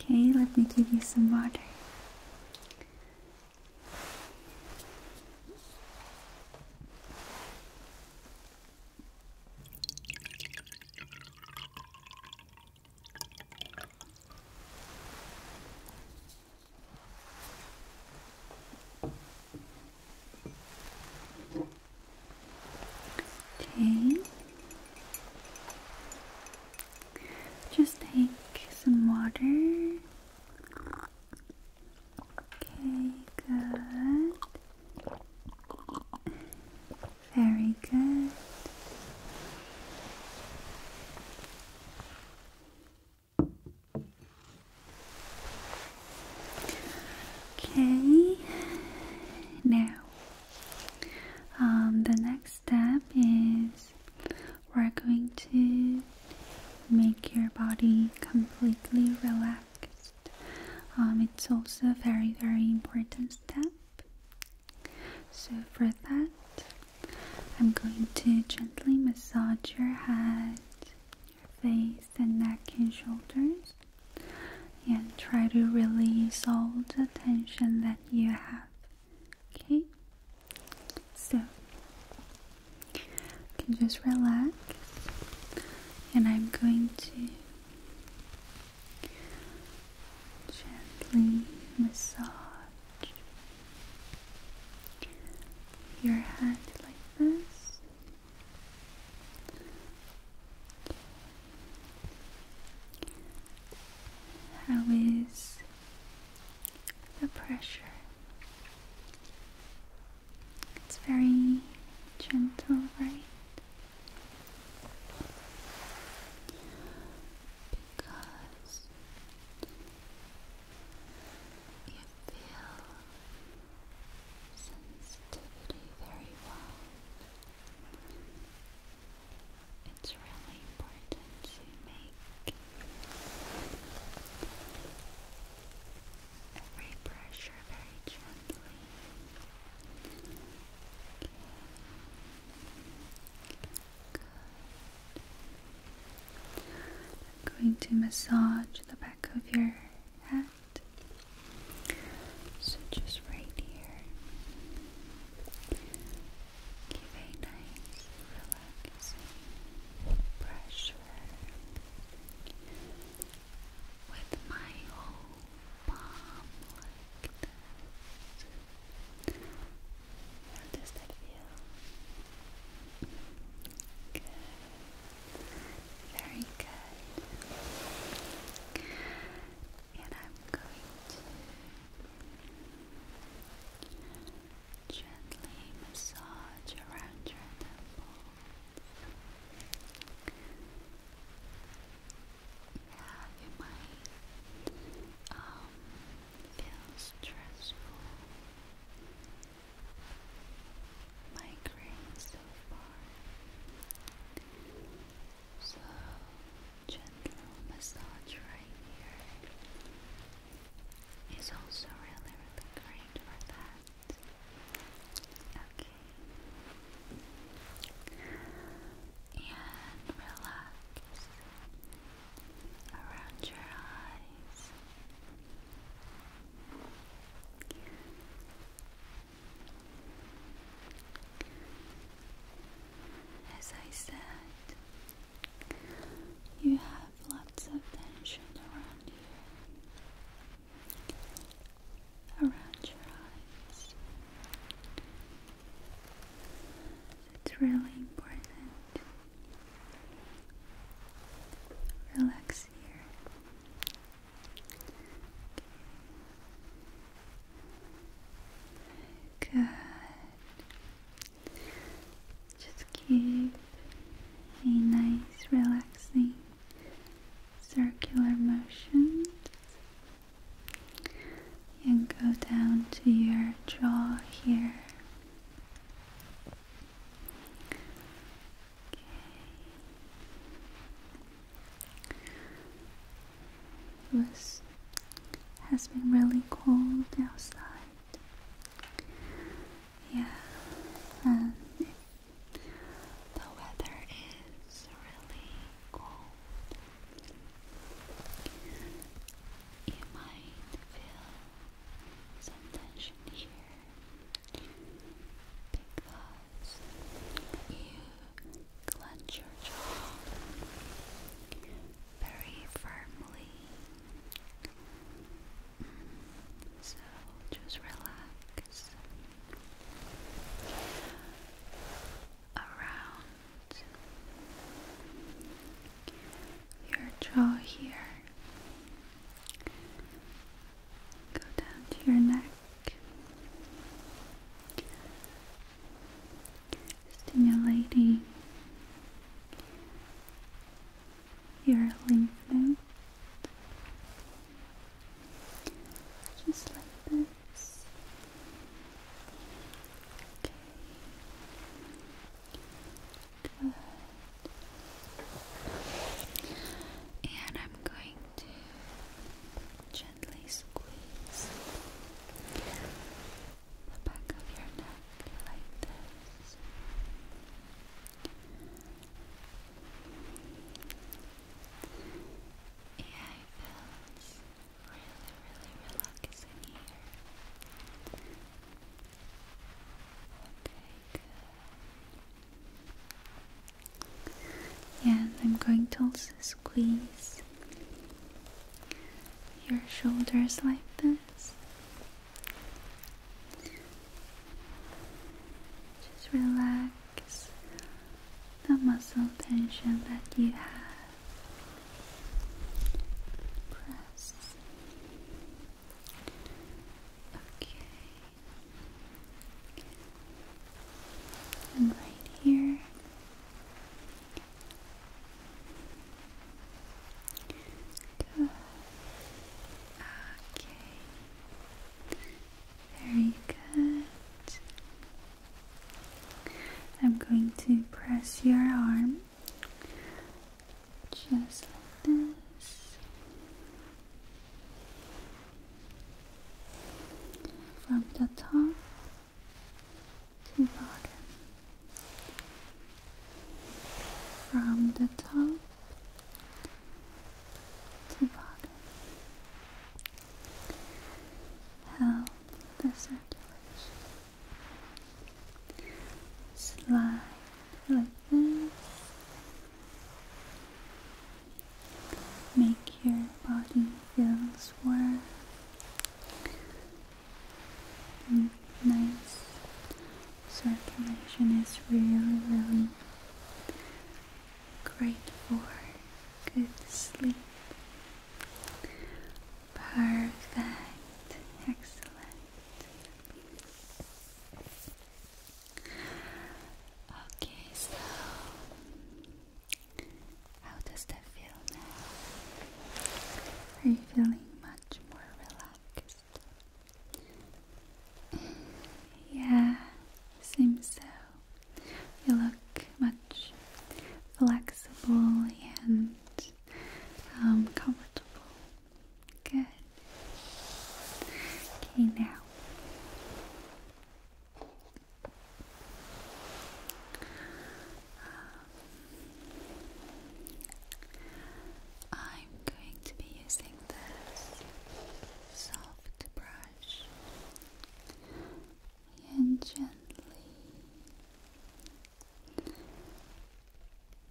Okay, let me give you some water. Okay. Just take some water. Okay, good. Very good. Okay, now um, the next step is we're going to make your body completely relaxed. Um, it's also a very, very important step. So, for that, I'm going to gently massage your head, your face, and neck and shoulders, and try to release all the tension that you have. Okay? So, you can just relax, and I'm going to Gently massage your head like this. How is the pressure? It's very gentle, right? because you feel sensitivity very well. It's really important to make every pressure very gently. I'm going to massage the back of your head. So just right here. Give a nice relaxing pressure with my whole palm How does that feel? Good. Very good. And I'm going to gently massage around your temple. Yeah, you might um, feel stressful. Migraine so far. So gentle massage right here is also really really great for that. Okay and relax around your eyes. As I said, you have lots of tension around you around your eyes. It's really important. Relax here. Good. Just keep a nice relaxing circular motion and go down to your jaw here. Okay. It has been really cold outside. Yeah, and the weather is really cold. You might feel some tension here because you clench your jaw very firmly. Mm, so just relax around your jaw here. Go down to your neck. Stimulating your lymph nodes, just like that close. Okay. And I'm going to gently squeeze the back of your neck like this. Yeah, feels really, really relaxing here. Okay, good. Yeah, and I'm going to also squeeze your shoulders like this. Just relax relax the muscle tension that you have. Press. Okay. And right here. Good. Okay. Very good. I'm going to press your arm just like this. From the top to bottom, from the top to bottom, Help the circulation slide like this. Make your body feel warm and nice. Circulation is really, really great for good sleep Perfect. Excellent. Okay, so how does that feel now? Are you feeling much more relaxed? [CLEARS THROAT] yeah, seems so you look much flexible and um, comfortable. Good. Okay, now. I'm going to be using this soft brush and gently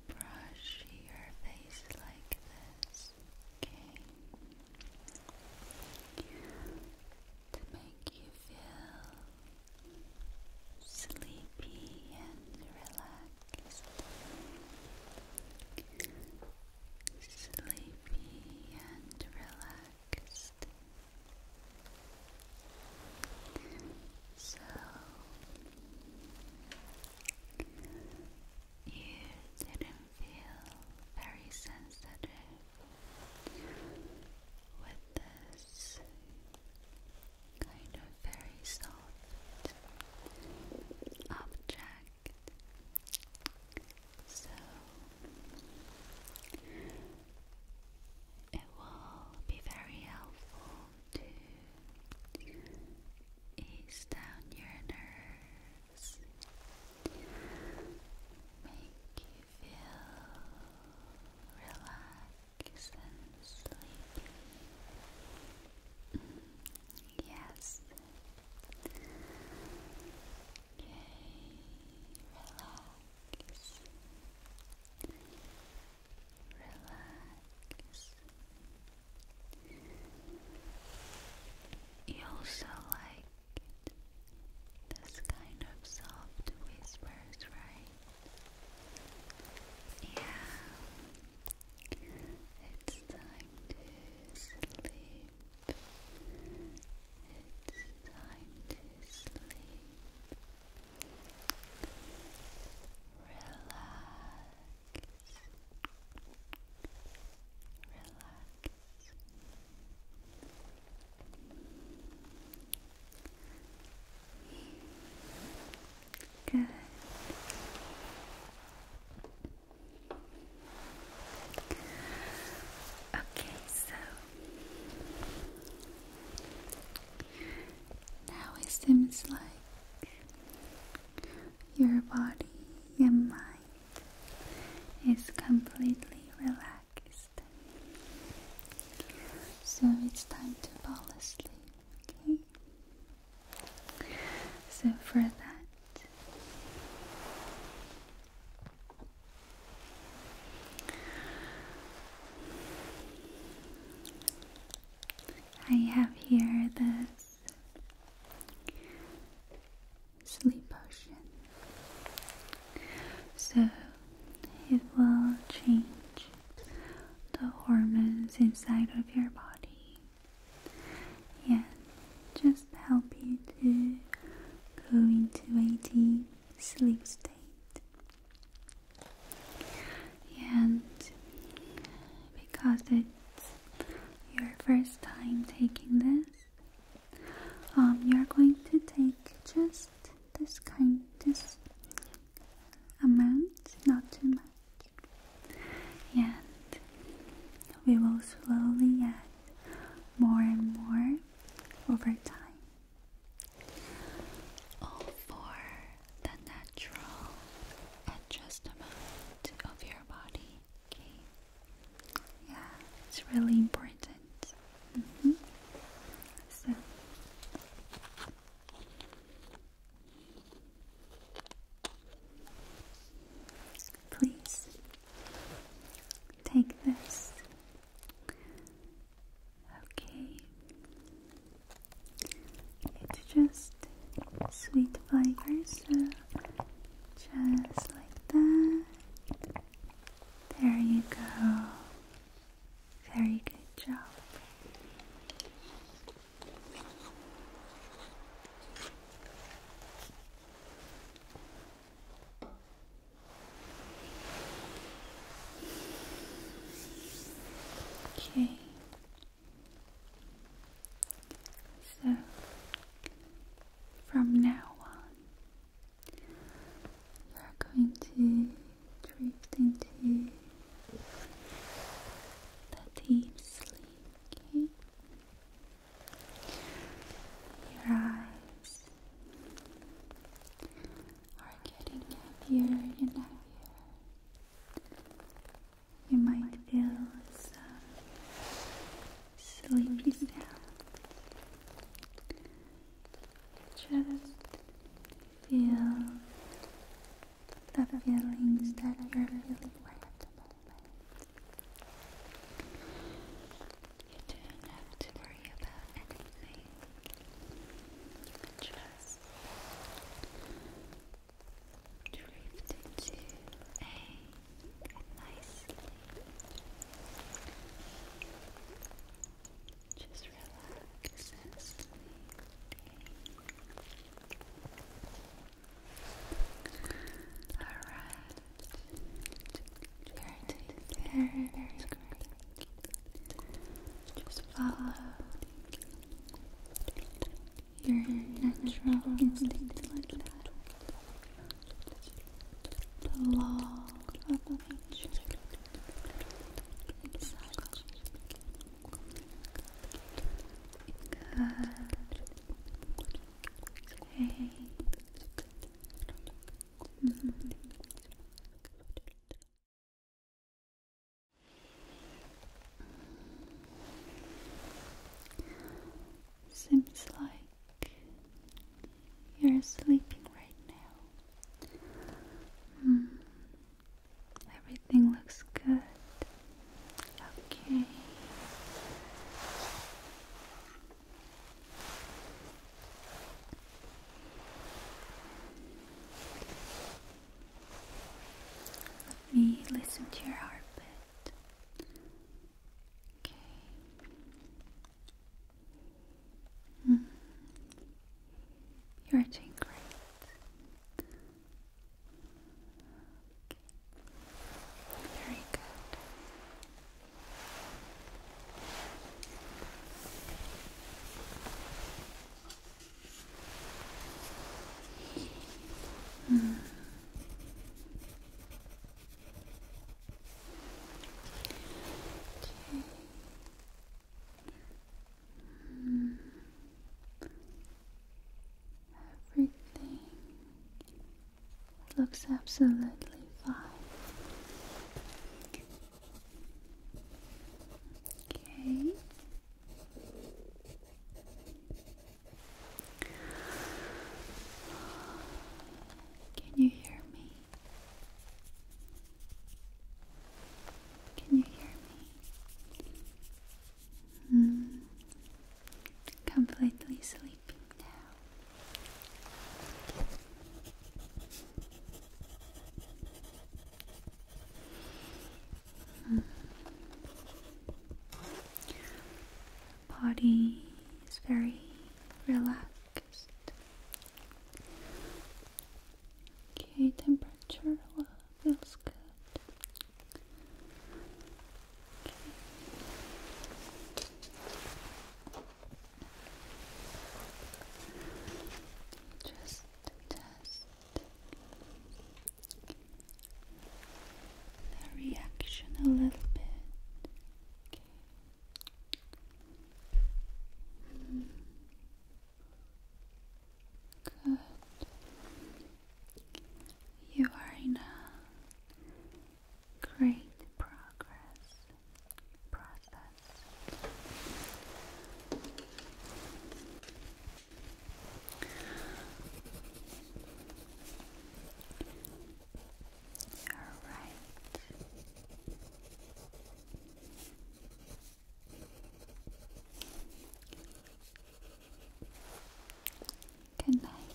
brush your face like this, okay? To make you feel sleepy and relaxed. Sleepy and relaxed. So you didn't feel very sensitive with this kind of very soft object. So it will be very helpful to ease down your nerves, make you feel relaxed and sleepy. Mm, yes relax, relax. You also like this kind of soft whispers, right? Yeah, it's time to sleep. It's time to sleep. Relax. Relax. Good. Okay, so now it seems like your body and mind is completely relaxed. So it's time to fall asleep, okay? So for that, I have here this sleep potion. So it will change the hormones inside of your body and just help you to go into a deep sleep state and because it's your first time taking this, um, you're going to take just this kind, this amount, not too much, and we will slowly add more and more over time. All for the natural adjustment of your body. Okay. Yeah, it's really important. Mm-hmm. So. Please take this Okay. It's just sweet flavors, so just like that. There you go. Very good job. Okay. So from now on, you're going to drift into the deep sleep. Okay. Your eyes are getting heavier and heavier. You might feel some sleepy sound. Just feel the feelings that you're feeling right at the moment. You don't have to worry about anything just drift into a nice sleep. Just relax and sleep. All right. Very, very, just follow your natural instinct like that. The law of nature. Exactly. Okay. Seems like you're sleeping right now. Hmm. Everything looks good. Okay. Let me listen to your heartbeat. Okay. Mm. You're doing great. Very good. Hmm. Hmm. Everything looks absolutely fine. Okay. Can you hear me? Can you hear me? Mm. Completely sleeping now. Hmm. Body is very relaxed. Okay, temperature feels good. Just test the reaction a little bit. Okay. Good. You are in a great progress process. All right. Good night.